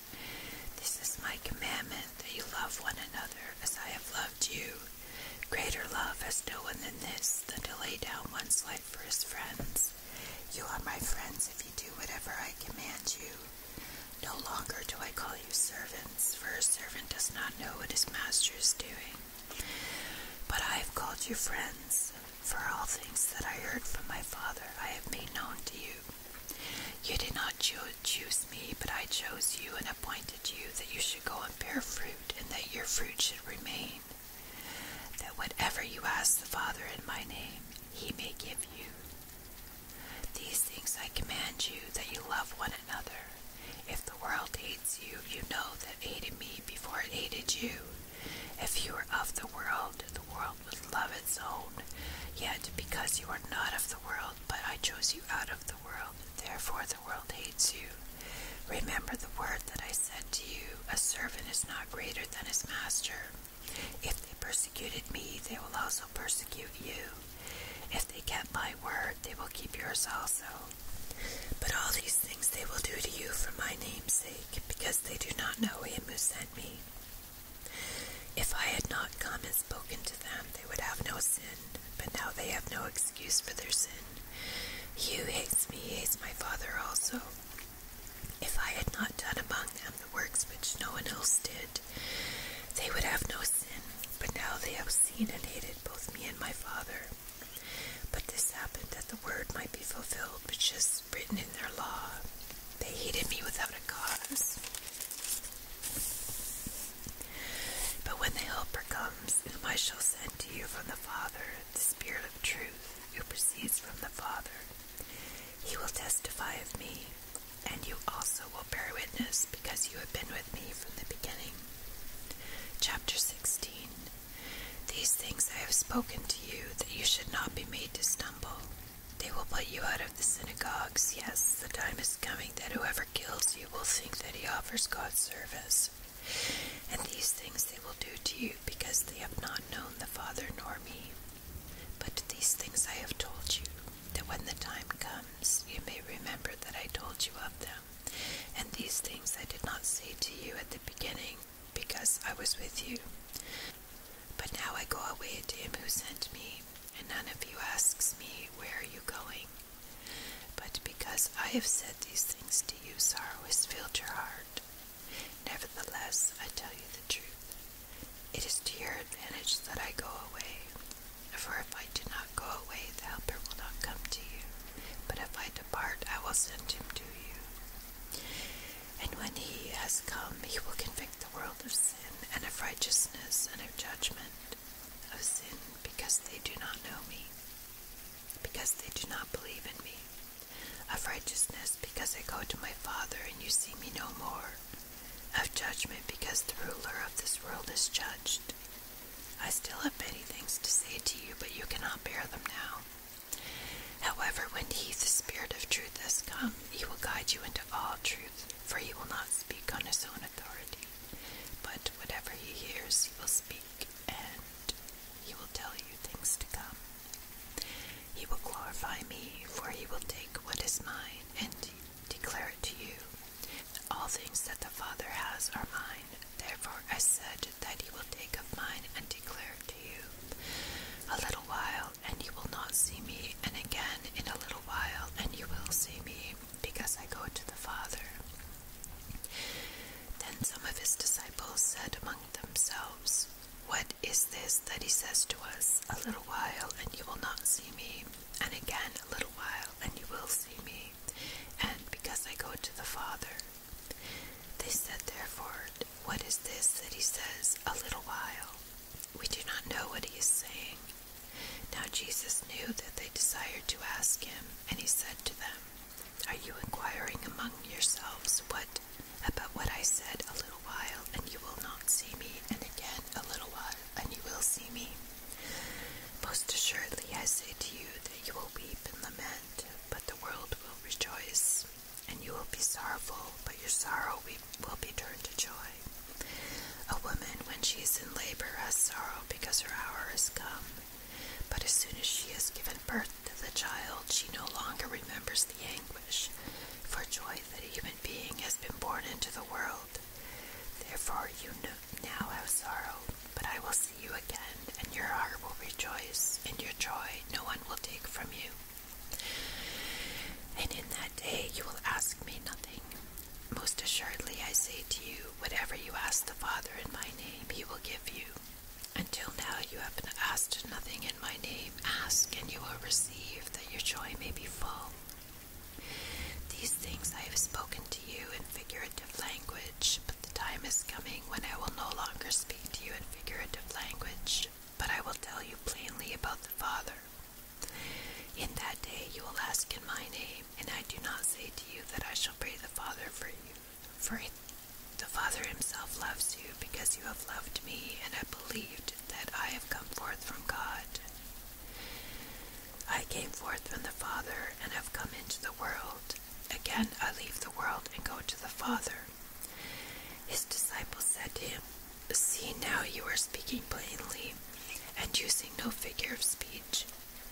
A: This is my commandment, that you love one another as I have loved you. Greater love has no one than this, than to lay down one's life for his friends. You are my friends if you do whatever I command you. No longer do I call you servants, for a servant does not know what his master is doing. But I have called you friends, for all things that I heard from my Father I have made known to you. You did not choose me, but I chose you and appointed you that you should go and bear fruit, and that your fruit should remain that whatever you ask the Father in my name, he may give you. These things I command you that you love one another. If the world hates you, you know that hated me before it hated you. If you were of the world, the world would love its own. Yet because you are not of the world, but I chose you out of the world, therefore the world hates you you. Remember the word that I said to you a servant is not greater than his master. If they persecuted me, they will also persecute you. If they kept my word, they will keep yours also. But all these things they will do to you for my name's sake, because they do not know him who sent me. If I had not come and spoken to them, they would have no sin, but now they have no excuse for their sin. Hugh hates me, hates my father also. If I had not done among them the works which no one else did, they would have no sin, but now they have seen and hated both me and my father. But this happened that the word might be fulfilled, which is written in their law. They hated me without a cause. But when the Helper comes, whom I shall send to you from the Father, the Spirit word truth who proceeds from the Father. He will testify of me, and you also will bear witness because you have been with me from the beginning. Chapter 16 These things I have spoken to you that you should not be made to stumble. They will put you out of the synagogues. Yes, the time is coming that whoever kills you will think that he offers God service. And these things they will do to you because they have not known the Father nor me. But these things I have told you, that when the time comes, you may remember that I told you of them. And these things I did not say to you at the beginning, because I was with you. But now I go away to him who sent me, and none of you asks me, Where are you going? But because I have said these things to you, sorrow has filled your heart. Nevertheless, I tell you the truth. It is to your advantage that I go away. For if I do not go away, the Helper will not come to you. But if I depart, I will send him to you. And when he has come, he will convict the world of sin, and of righteousness, and of judgment. Of sin, because they do not know me because they do not believe in me, of righteousness, because I go to my Father and you see me no more, of judgment, because the ruler of this world is judged. I still have many things to say to you, but you cannot bear them now. However, when he, the Spirit of truth, has come, he will guide you into all truth, for he will not speak on his own authority, but whatever he hears, he will speak, and he will tell you things to come. He will glorify me, for he will take what is mine and declare it to you. All things that the Father has are mine. Therefore I said that he will take of mine and declare it to you. A little while, and you will not see me, and again in a little while, and you will see me, because I go to the Father. Then some of his disciples said among themselves, What is this that he says to us? A little while, and you will not see me, and again a little while, and you will see me, and because I go to the Father. They said therefore, What is this that he says, 'A little while? We do not know what he is saying. Now Jesus knew that they desired to ask him, and he said to them, are you inquiring among yourselves what about what I said a little while, and you will not see me, and again a little while, and you will see me? Most assuredly I say to you that you will weep and lament, but the world will rejoice, and you will be sorrowful, but your sorrow will be turned to joy. A woman, when she is in labor, has sorrow because her hour has come. But as soon as she has given birth to the child, she no longer remembers the anguish for joy that a human being has been born into the world. Therefore, you now have sorrow, but I will see you again, and your heart will rejoice, and your joy no one will take from you. And in that day you will ask me nothing. Most assuredly, I say to you, whatever you ask the Father in my name, he will give you. Until now you have asked nothing in my name. Ask and you will receive, that your joy may be full. These things I have spoken to you in figurative language, but the time is coming when I will no longer speak to you in figurative language, but I will tell you plainly about the Father. In that day you will ask in my name, and I do not say to you that I shall pray the Father for you. For the Father himself loves you because you have loved me and have believed that I have come forth from God. I came forth from the Father and have come into the world. Again I leave the world and go to the Father. His disciples said to him, See now you are speaking plainly and using no figure of speech.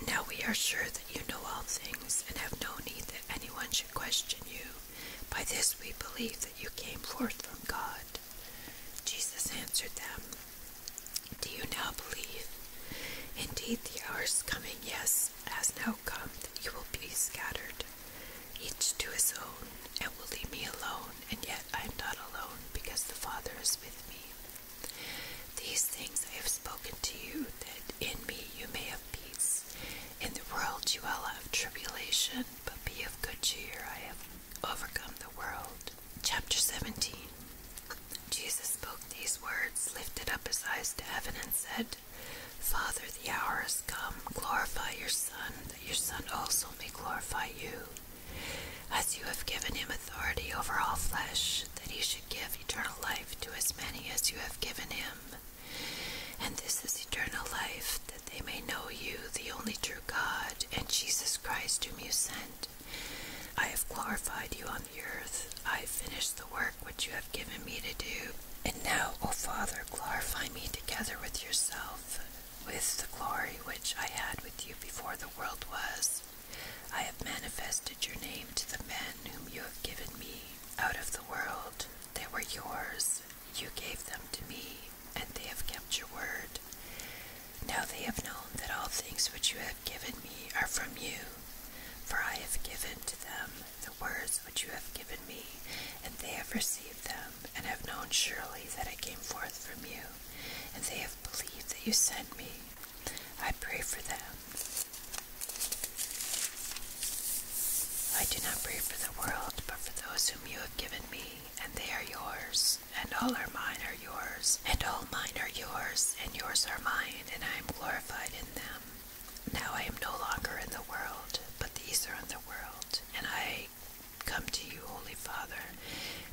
A: Now we are sure that you know all things and have no need that anyone should question you. By this we believe that you came forth from God. Jesus answered them, Do you now believe? Indeed, the hour is coming, yes, has now come, that you will be scattered, each to his own, and will leave me alone, and yet I am not alone, because the Father is with me. These things I have spoken to you, that in me you may have peace. In the world you will have tribulation, but be of good cheer. I have overcome the world. Chapter 17 Jesus spoke these words, lifted up his eyes to heaven, and said, Father, the hour has come. Glorify your Son, that your Son also may glorify you. As you have given him authority over all flesh, that he should give eternal life to as many as you have given him. And this is eternal life, that they may know you, the only true God, and Jesus Christ, whom you sent. I have glorified you on the earth. I have finished the work which you have given me to do. And now, O Father, glorify me together with yourself, with the glory which I had with you before the world was. I have manifested your name to the men whom you have given me out of the world. They were yours, you gave them to me, and they have kept your word. Now they have known that all things which you have given me are from you, for I have given to them the words which you have given me, and they have received them, and have known surely that I came forth from you, and they have believed that you sent me. I pray for them. I do not pray for the world, but for those whom you have given me, and they are yours, and all are mine are yours, and all mine are yours, and yours are mine, and I am glorified in them. Now I am no longer in the world, but these are in the world, and I come to you, Holy Father.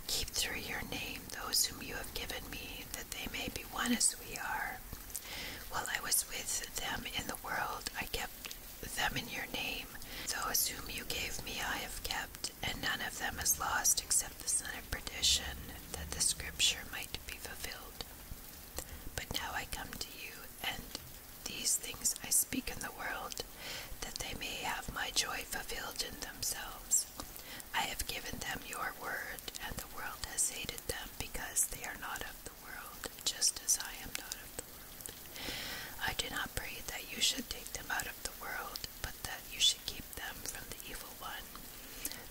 A: Keep through your name those whom you have given me, that they may be one as we are. While I was with them in the world, I kept them in your name. Those whom you gave me I have kept, and none of them is lost except the son of perdition, that the scripture might be fulfilled. But now I come to you, and these things I speak in the world, that they may have my joy fulfilled in themselves. I have given them your word, and the world has hated them because they are not of the the world, just as I am not of the world. I do not pray that you should take them out of the world, but that you should keep them from the evil one.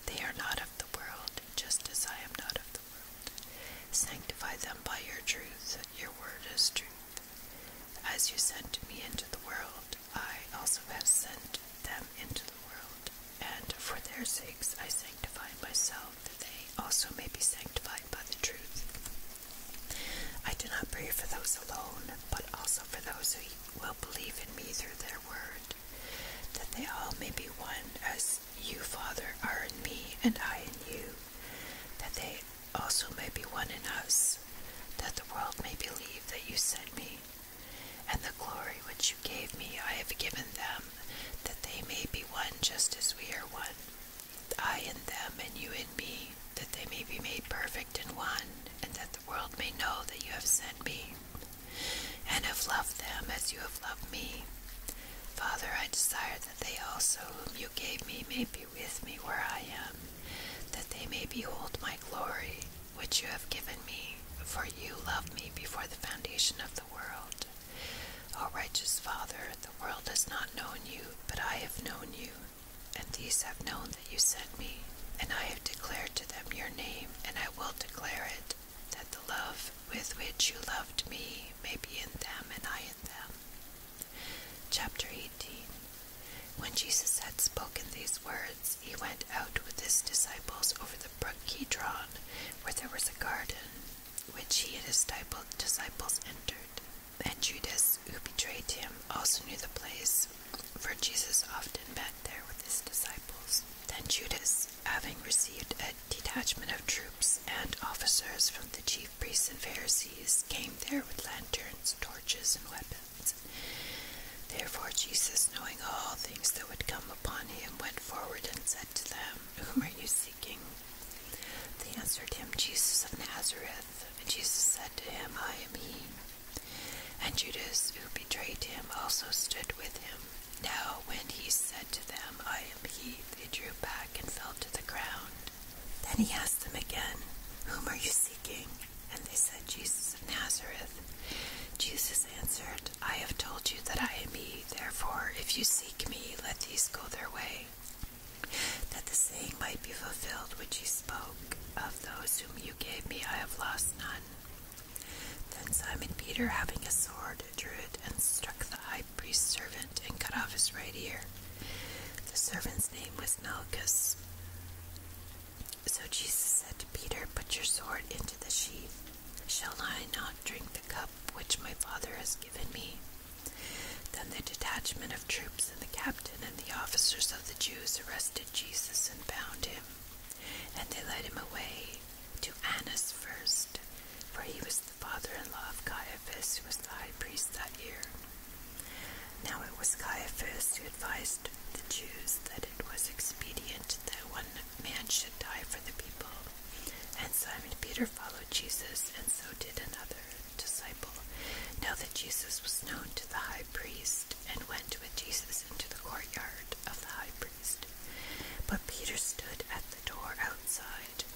A: They are not of the world, just as I am not of the world. Sanctify them by your truth, your word is truth. As you sent me into the world, I also have sent them into the world, and for their sakes I sanctify myself that they also may be sanctified by the truth. I do not pray for those alone, but also for those who will believe in me through their word, that they all may be one, as you, Father, are in me, and I in you, that they also may be one in us, that the world may believe that you sent me. And the glory which you gave me I have given them, that they may be one just as we are one. I in them and you in me, that they may be made perfect in one, and that the world may know that you have sent me, and have loved them as you have loved me. Father, I desire that they also, whom you gave me, may be with me where I am, that they may behold my glory, which you have given me, for you loved me before the foundation of the world. O righteous Father, the world has not known you, but I have known you, and these have known that you sent me, and I have declared to them your name, and I will declare it, that the love with which you loved me may be in them, and I in them. Chapter 18 When Jesus had spoken these words, he went out with his disciples over the brook Kidron, where there was a garden which he and his disciples entered. And Judas, who betrayed him, also knew the place, for Jesus often met there with his disciples. Then Judas, having received a detachment of troops and officers from the chief priests and Pharisees, came there with lanterns, torches, and weapons. Therefore, Jesus, knowing all things that would come upon him, went forward and said to them, Whom are you seeking? They answered him, Jesus of Nazareth. And Jesus said to him, I am he. And Judas, who betrayed him, also stood with him. Now, when he said to them, I am he, they drew back and fell to the ground. Then he asked them again, Whom are you seeking? And they said, Jesus of Nazareth. Jesus answered, I have told you that I am he. Therefore, if you seek me, let these go their way that the saying might be fulfilled which he spoke of those whom you gave me, I have lost none. Then Simon Peter, having a sword, drew it and struck the high priest's servant and cut off his right ear. The servant's name was Malchus. So Jesus said to Peter, Put your sword into the sheath. Shall I not drink the cup which my Father has given me? Then the detachment of troops and the captain and the officers of the Jews arrested Jesus and bound him, and they led him away to Annas first, for he was the father-in-law of Caiaphas, who was the high priest that year. Now it was Caiaphas who advised the Jews that it was expedient that one man should die for the people, and Simon Peter followed Jesus, and so did another disciple. Now that Jesus was known to the high priest, and went with Jesus into the courtyard of the high priest. But Peter stood at the door outside.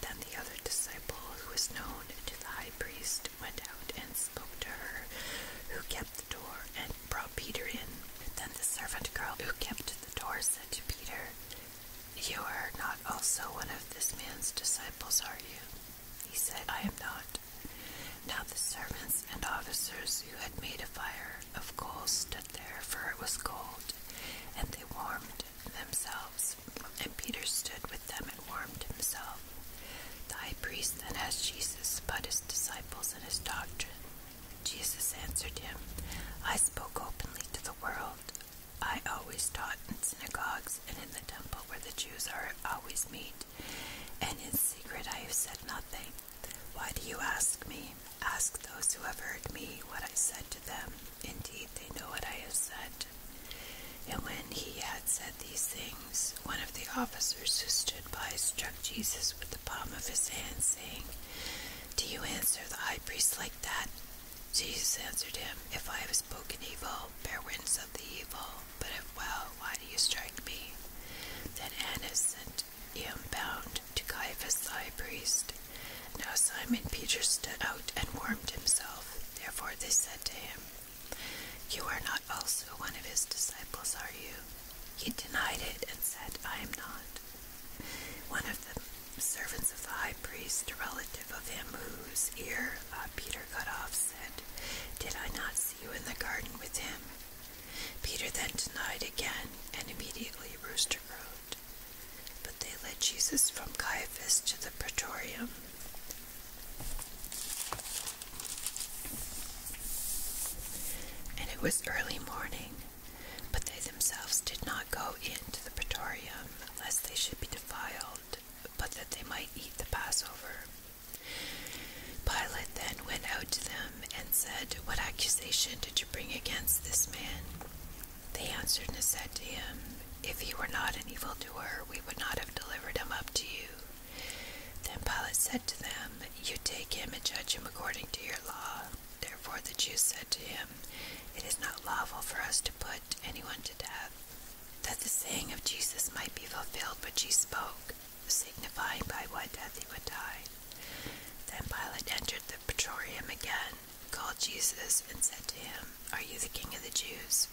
A: Then the other disciple, who was known to the high priest, went out and spoke to her, who kept the door, and brought Peter in. Then the servant girl who kept the door said to Peter, you are not also one of this man's disciples, are you? He said, I am not. Now the servants and officers who had made a fire of coals stood there, for it was cold, and they warmed themselves. And Peter stood with them and warmed himself. The high priest then asked Jesus about his disciples and his doctrine. Jesus answered him, I spoke openly to the world. I always taught in synagogues and in the temple where the Jews are always meet, and in secret I have said nothing. Why do you ask me? Ask those who have heard me what I said to them. Indeed, they know what I have said. And when he had said these things, one of the officers who stood by struck Jesus with the palm of his hand, saying, Do you answer the high priest like that? Jesus answered him, If I have spoken evil, bear witness of the evil, but if well, why do you strike me? Then Annas sent him bound to Caiaphas the high priest. Now Simon Peter stood out and warmed himself. Therefore they said to him, You are not also one of his disciples, are you? He denied it and said, I am not. One of them servants of the high priest, a relative of him whose ear uh, Peter cut off, said, Did I not see you in the garden with him? Peter then denied again, and immediately a rooster crowed. But they led Jesus from Caiaphas to the praetorium. And it was early morning, but they themselves did not go into the praetorium unless they should be defiled, but that they might eat the Passover. Pilate then went out to them and said, What accusation did you bring against this man? They answered and said to him, If he were not an evildoer, we would not have delivered him up to you. Then Pilate said to them, You take him and judge him according to your law. Therefore the Jews said to him, it is not lawful for us to put anyone to death. That the saying of Jesus might be fulfilled which he spoke, signifying by what death he would die. Then Pilate entered the Praetorium again, called Jesus, and said to him, Are you the king of the Jews?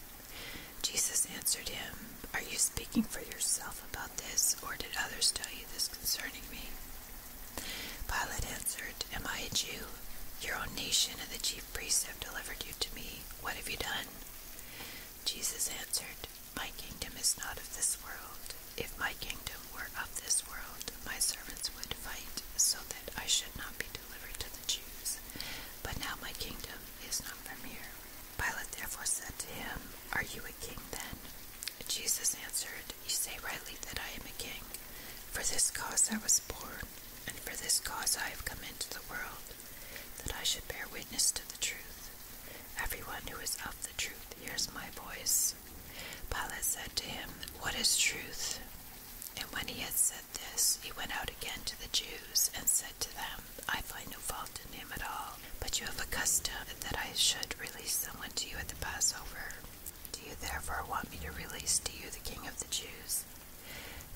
A: Jesus answered him, Are you speaking for yourself about this, or did others tell you this concerning me? Pilate answered, Am I a Jew? Your own nation and the priests have delivered you to me. What have you done? Jesus answered, My kingdom is not of this world. If my kingdom were of this world, my servants would fight so that I should not be delivered to the Jews. But now my kingdom is not from here. Pilate therefore said to him, Are you a king then? Jesus answered, You say rightly that I am a king. For this cause I was born, and for this cause I have come into the world, that I should bear witness to the truth. Everyone who is of the truth hears my voice. Pilate said to him, What is truth? And when he had said this, he went out again to the Jews and said to them, I find no fault in him at all, but you have a custom that I should release someone to you at the Passover. Do you therefore want me to release to you the King of the Jews?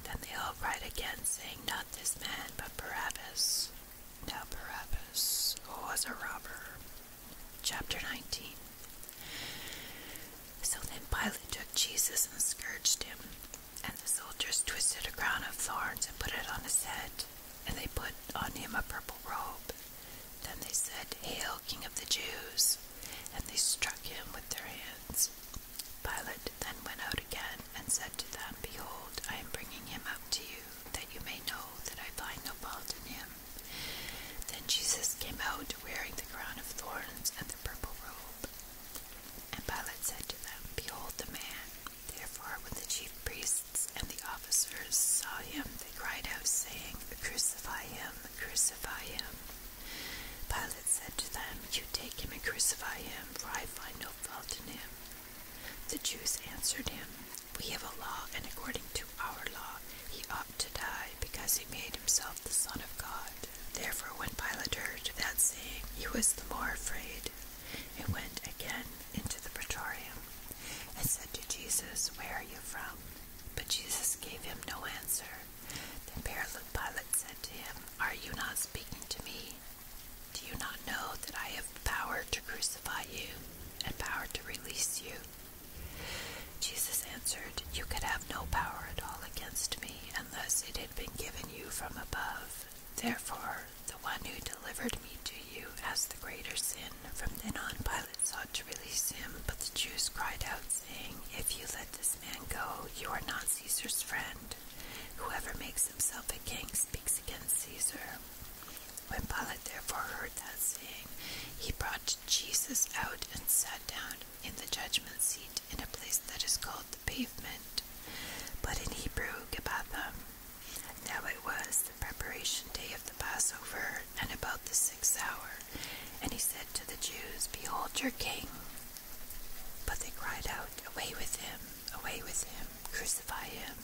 A: Then they all cried again, saying, Not this man, but Barabbas. Now Barabbas was a robber. Chapter 19 So then Pilate took Jesus and scourged him, and the soldiers twisted a crown of thorns and put it on his head, and they put on him a purple robe. Then they said, Hail, King of the Jews! And they struck him with their hands. Pilate then went out again and said to them, Behold, I am bringing him up to you, that you may know that I find no fault in him. Then Jesus came out wearing the crown of thorns and the purple robe. And Pilate said to them, Behold the man. Therefore, when the chief priests and the officers saw him, they cried out, saying, Crucify him, crucify him. Pilate said to them, You take him and crucify him, for I find no fault in him. The Jews answered him, We have a law, and according to our law he ought to die, because he made himself the Son of God. Therefore, when Pilate heard that saying, he was the more afraid, and went again into the praetorium, and said to Jesus, Where are you from? But Jesus gave him no answer. Then Perilous Pilot said to him, Are you not speaking to me? Do you not know that I have power to crucify you and power to release you? Jesus answered, You could have no power at all against me unless it had been given you from above.
B: Therefore,
A: the one who delivered me to you has the greater sin. From then on, Pilate sought to release him, but the Jews cried out, saying, If you let this and go, you are not Caesar's friend. Whoever makes himself a king speaks against Caesar. When Pilate therefore heard that saying, he brought Jesus out and sat down in the judgment seat in a place that is called the pavement, but in Hebrew, Gabbatha. Now it was the preparation day of the Passover, and about the sixth hour, and he said to the Jews, Behold your king. But they cried out, Away with him, away with him, crucify him.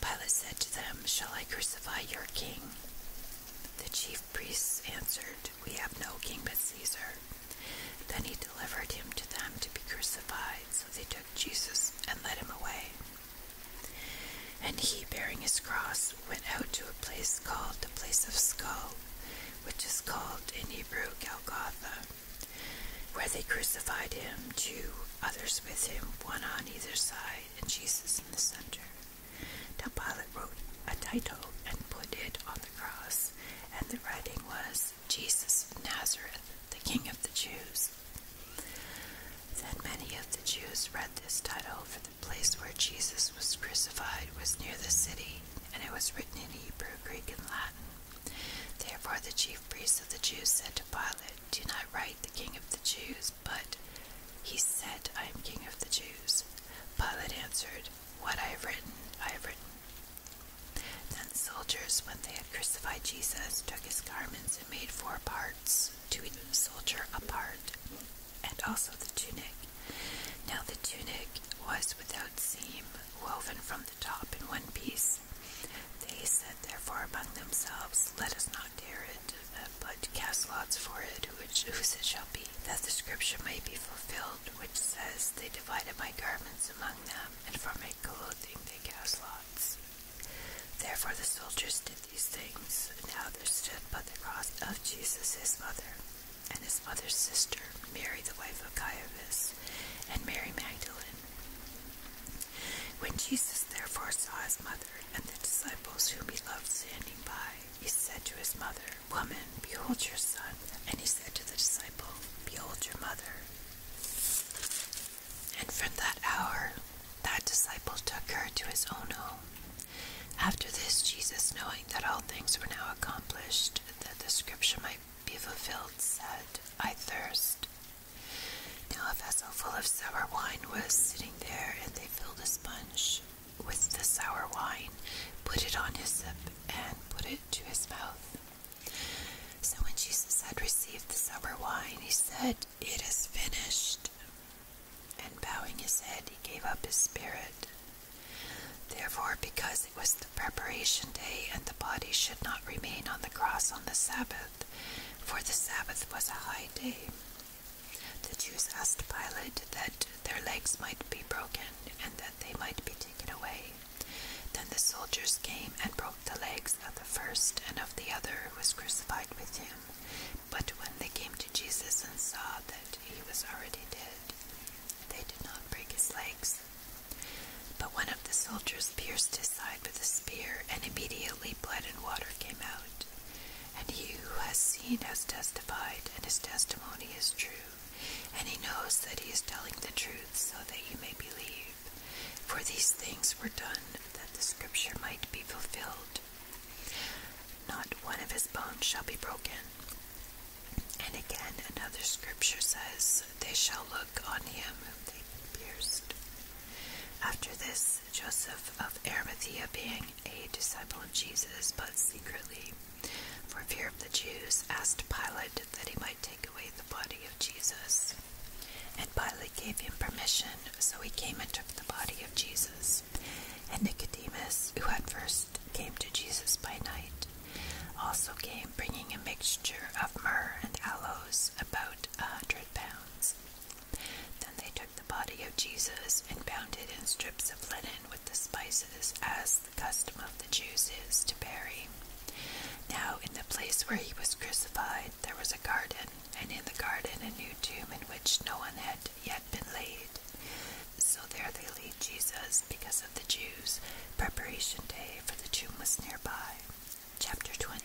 A: Pilate said to them, Shall I crucify your king? The chief priests answered, We have no king but Caesar. Then he delivered him to them to be crucified. So they took Jesus and led him away. And he, bearing his cross, went out to a place called the place of skull, which is called in Hebrew Golgotha, where they crucified him, two others with him, one on either side, and Jesus in the center. Now Pilate wrote a title and put it on the cross, and the writing was Jesus of Nazareth, the King of the Jews. Then many of the Jews read this title, for the place where Jesus was crucified was near the city, and it was written in Hebrew, Greek, and Latin. Therefore, the chief priests of the Jews said to Pilate, Do not write the King of the Jews, but he said, I am King of the Jews. Pilate answered, What I have written, I have written. Then the soldiers, when they had crucified Jesus, took his garments and made four parts, to each soldier a part, and also the tunic. Now the tunic was without seam, woven from the top in one piece. They said therefore among themselves, Let us not tear it, uh, but cast lots for it, which, whose it shall be, that the scripture may be fulfilled, which says, They divided my garments among them, and for my clothing they cast lots. Therefore the soldiers did these things. Now there stood by the cross of Jesus his mother, and his mother's sister, Mary, the wife of Caiaphas, and Mary Magdalene. When Jesus therefore saw his mother and the disciples whom he loved standing by, he said to his mother, Woman, behold your son. And he said to the disciple, Behold your mother. And from that hour, that disciple took her to his own home. After this, Jesus, knowing that all things were now accomplished, that the scripture might be fulfilled, said, I thirst. Now a vessel full of sour wine was sitting there, and they filled a sponge with the sour wine, put it on his lip, and put it to his mouth. So when Jesus had received the sour wine, he said, It is finished. And bowing his head, he gave up his spirit. Therefore, because it was the preparation day and the body should not remain on the cross on the Sabbath, for the Sabbath was a high day, the Jews asked Pilate that their legs might be broken and that they might be taken away. Then the soldiers came and broke the legs of the first and of the other who was crucified with him. But when they came to Jesus and saw that he was already dead, they did not break his legs. But one of the soldiers pierced his side with a spear, and immediately blood and water came out. And he who has seen has testified, and his testimony is true. And he knows that he is telling the truth, so that you may believe. For these things were done, that the scripture might be fulfilled. Not one of his bones shall be broken. And again, another scripture says, They shall look on him whom they pierced. After this, Joseph of Arimathea, being a disciple of Jesus, but secretly, for fear of the Jews, asked Pilate that he might take away the body of Jesus. And Pilate gave him permission, so he came and took the body of Jesus. And Nicodemus, who at first came to Jesus by night, also came bringing a mixture of myrrh and aloes, about a hundred pounds. Then they took the body of Jesus and bound it in strips of linen with the spices, as the custom of the Jews is to bury. Now, in the place where he was crucified, there was a garden, and in the garden a new tomb in which no one had yet been laid. So there they laid Jesus because of the Jews. Preparation day, for the tomb was nearby. Chapter 20.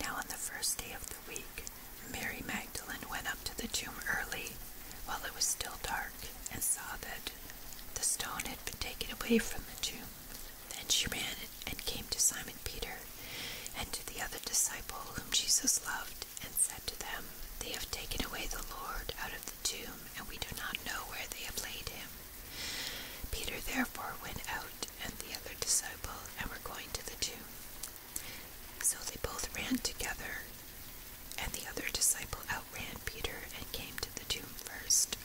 A: Now on the first day of the week, Mary Magdalene went up to the tomb early, while it was still dark, and saw that the stone had been taken away from the tomb. Then she ran and came to Simon Peter and to the other disciple whom Jesus loved, and said to them, They have taken away the Lord out of tomb, and we do not know where they have laid him. Peter therefore went out and the other disciple and were going to the tomb. So they both ran together, and the other disciple outran Peter and came to the tomb first.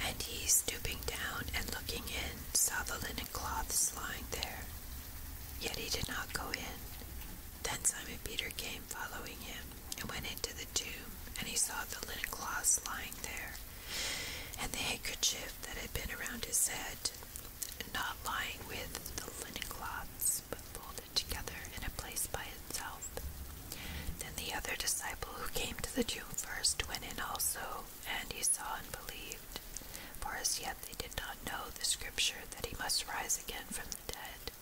A: And he, stooping down and looking in, saw the linen cloths lying there. Yet he did not go in. Then Simon Peter came following him and went into the tomb, and he saw the linen cloths lying there, and the handkerchief that had been around his head, not lying with the linen cloths, but folded together in a place by itself. Then the other disciple who came to the tomb first went in also, and he saw and believed. For as yet they did not know the scripture that he must rise again from the dead.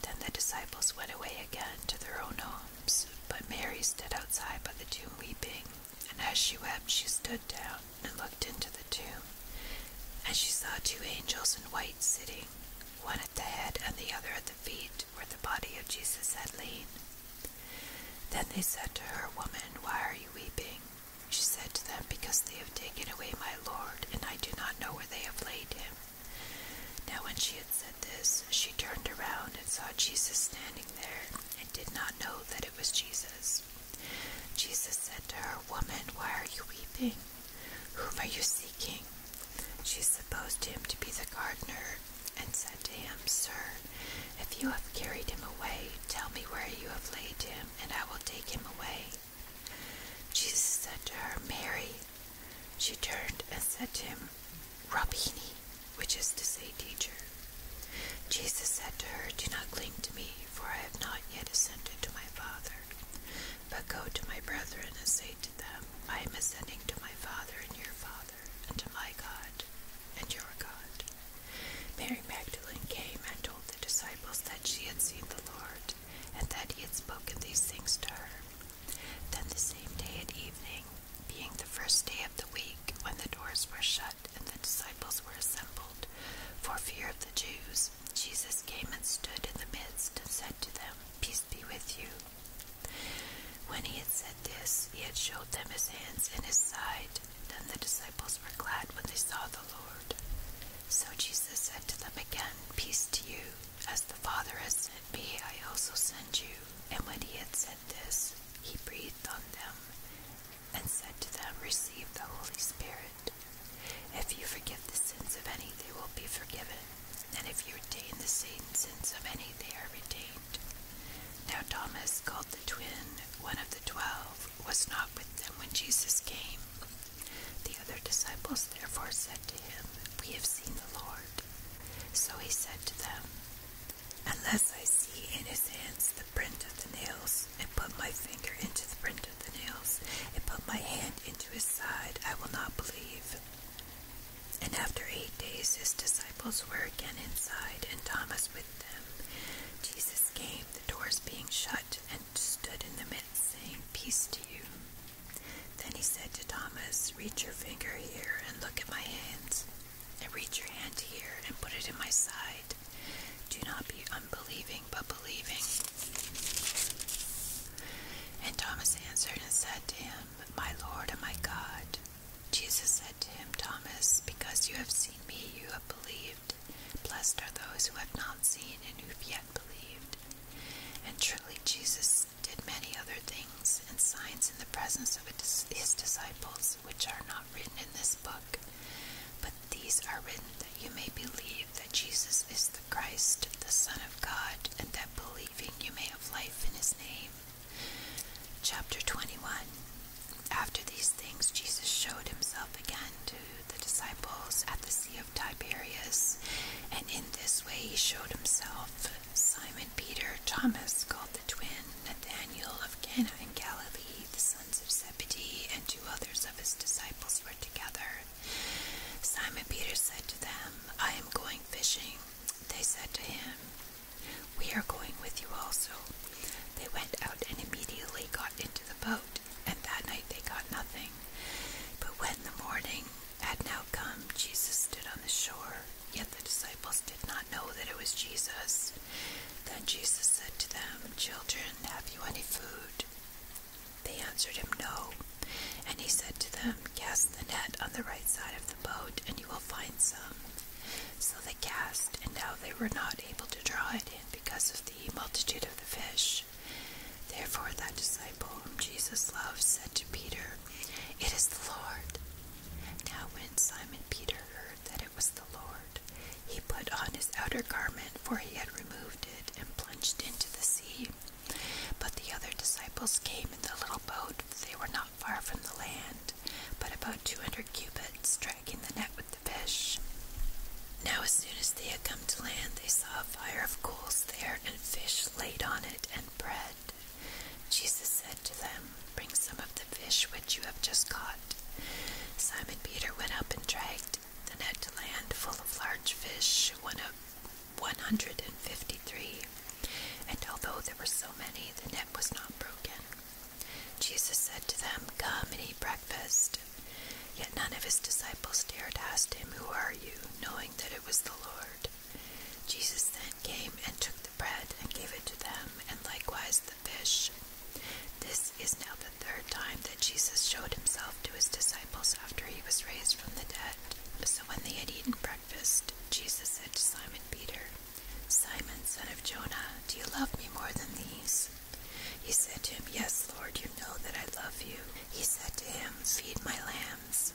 A: Then the disciples went away again to their own homes, but Mary stood outside by the tomb weeping. And as she wept, she stood down and looked into the tomb. And she saw two angels in white sitting, one at the head and the other at the feet, where the body of Jesus had lain. Then they said to her, Woman, why are you weeping? She said to them, Because they have taken away my Lord, and I do not know where they have laid him. Now, when she had said this, she turned around and saw Jesus standing there, and did not know that it was Jesus. Jesus said to her, Woman, why are you weeping? Whom are you seeking? She supposed him to be the gardener, and said to him, Sir, if you have carried him away, tell me where you have laid him, and I will take him away. Jesus said to her, Mary. She turned and said to him, "Rabbi," which is to say, teacher. Jesus said to her, Do not cling to me, for I have not yet ascended to my Father. But go to my brethren and say to them, 'I am ascending to my Father and your Father, and to my God and your God. Mary Magdalene came and told the disciples that she had seen the Lord, and that he had spoken these things to her. Then the same day at evening, being the first day of the week, when the doors were shut and the disciples were assembled, for fear of the Jews, Jesus came and stood in the midst and said to them, Peace be with you. When he had said this, he had showed them his hands and his side. Then the disciples were glad when they saw the Lord. So Jesus said to them again, Peace to you. As the Father has sent me, I also send you. And when he had said this, he breathed on them and said to them, Receive the Holy Spirit. If you forgive the sins of any, they will be forgiven. And if you retain the sins of any, they are retained. Now Thomas, called the twin, one of the twelve, was not with them when Jesus came. The other disciples therefore said, to him, We have seen the Lord. So he said to them, Unless I see in his hands the print of the nails, and put my finger into the print of the nails, and put my hand into his side, I will not believe. And after eight days his disciples were again inside, and Thomas with them. Jesus came, the doors being shut, and stood in the midst, saying, Peace to you. Then he said to Thomas, Reach your finger here and look at my hands, and reach your hand here and put it in my side. Do not be unbelieving, but believing. And Thomas answered and said to him, My Lord and my God. Jesus said to him, Thomas, because you have seen me, you have believed. Blessed are those who have not seen and who have yet believed. And truly, Jesus did many other things and signs in the presence of his disciples, which are not written in this book. But these are written that you may believe that Jesus is the Christ, the Son of God, and that believing you may have life in his name. Chapter 21 After these things, Jesus showed himself again to the disciples at the Sea of of and in this way he showed himself Simon Peter, Thomas, called the twin, Nathanael of Cana in Galilee, the sons of Zebedee, and two others of his disciples were together. Simon Peter said to them, I am going fishing. They said to him, We are going with you also. They went out and immediately got into the boat, and that night they got nothing. But when the morning had now come, Jesus stood on the shore, yet the disciples did not know that it was Jesus. Then Jesus said to them, Children, have you any food? They answered him, No. And he said to them, Cast the net on the right side of the boat, and you will find some. So they cast, and now they were not able to draw it in because of the multitude of the fish. Therefore, that disciple whom Jesus loved said to Peter, it is the Lord. Now, when Simon Peter heard that it was the Lord, he put on his outer garment, for he had removed it, and plunged into the sea. But the other disciples came in the little boat, for they were not far from the land, but about two hundred cubits, dragging the net with the fish. Now, as soon as they had come to land, they saw a fire of coals there, and fish laid on it, and bread. Jesus said to them, Bring some of the fish which you have just caught. Simon Peter went up and dragged the net to land full of large fish, one of 153. And although there were so many, the net was not broken. Jesus said to them, Come and eat breakfast. Yet none of his disciples dared ask him, Who are you? knowing that it was the Lord. Jesus then came and took the bread and gave it to them, and likewise the fish. This is now the third time that Jesus showed himself to his disciples after he was raised from the dead. So when they had eaten breakfast, Jesus said to Simon Peter, Simon, son of Jonah, do you love me more than these? He said to him, Yes, Lord, you know that I love you. He said to him, Feed my lambs.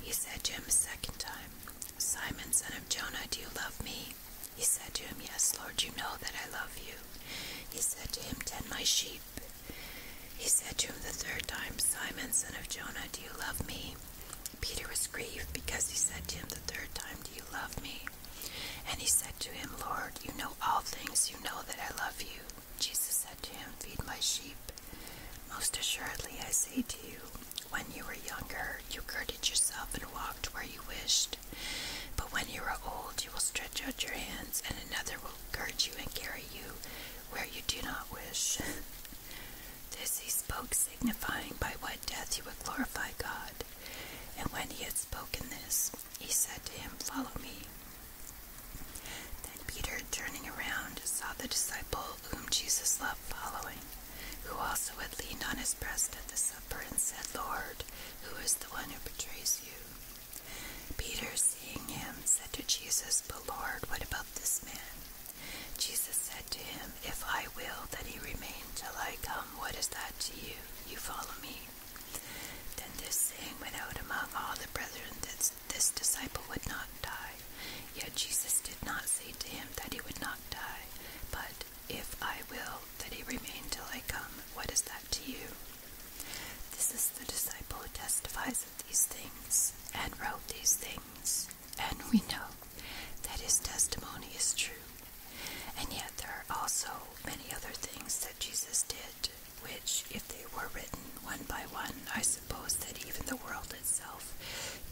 A: He said to him a second time, Simon, son of Jonah, do you love me? He said to him, Yes, Lord, you know that I love you. He said to him, Tend my sheep. He said to him the third time, Simon, son of Jonah, do you love me? Peter was grieved because he said to him the third time, Do you love me? And he said to him, Lord, you know all things, you know that I love you. Jesus said to him, Feed my sheep. Most assuredly, I say to you, when you were younger, you girded yourself and walked where you wished. But when you are old, you will stretch out your hands, and another will gird you and carry you where you do not wish. this he spoke, signifying by what death he would glorify God. And when he had spoken this, he said to him, Follow me. And Peter, turning around, saw the disciple whom Jesus loved following, who also had leaned on his breast at the supper and said, Lord, who is the one who betrays you? Peter, seeing him, said to Jesus, But Lord, what about this man? Jesus said to him, If I will that he remain till I come, what is that to you? You follow me. Then this saying went out among all the brethren that this, disciple would not die. Yet Jesus did not say to him that he would not die, but if I will that he remain till I come, what is that to you? This is the disciple who testifies of these things and wrote these things, and we know that his testimony is true. And yet there are also many other things that Jesus did, which, if they were written one by one, I supposed that even the world itself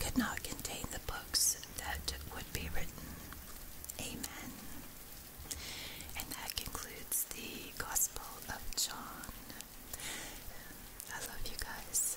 A: could not contain the books that would be written. Amen. And that concludes the Gospel of John. I love you guys.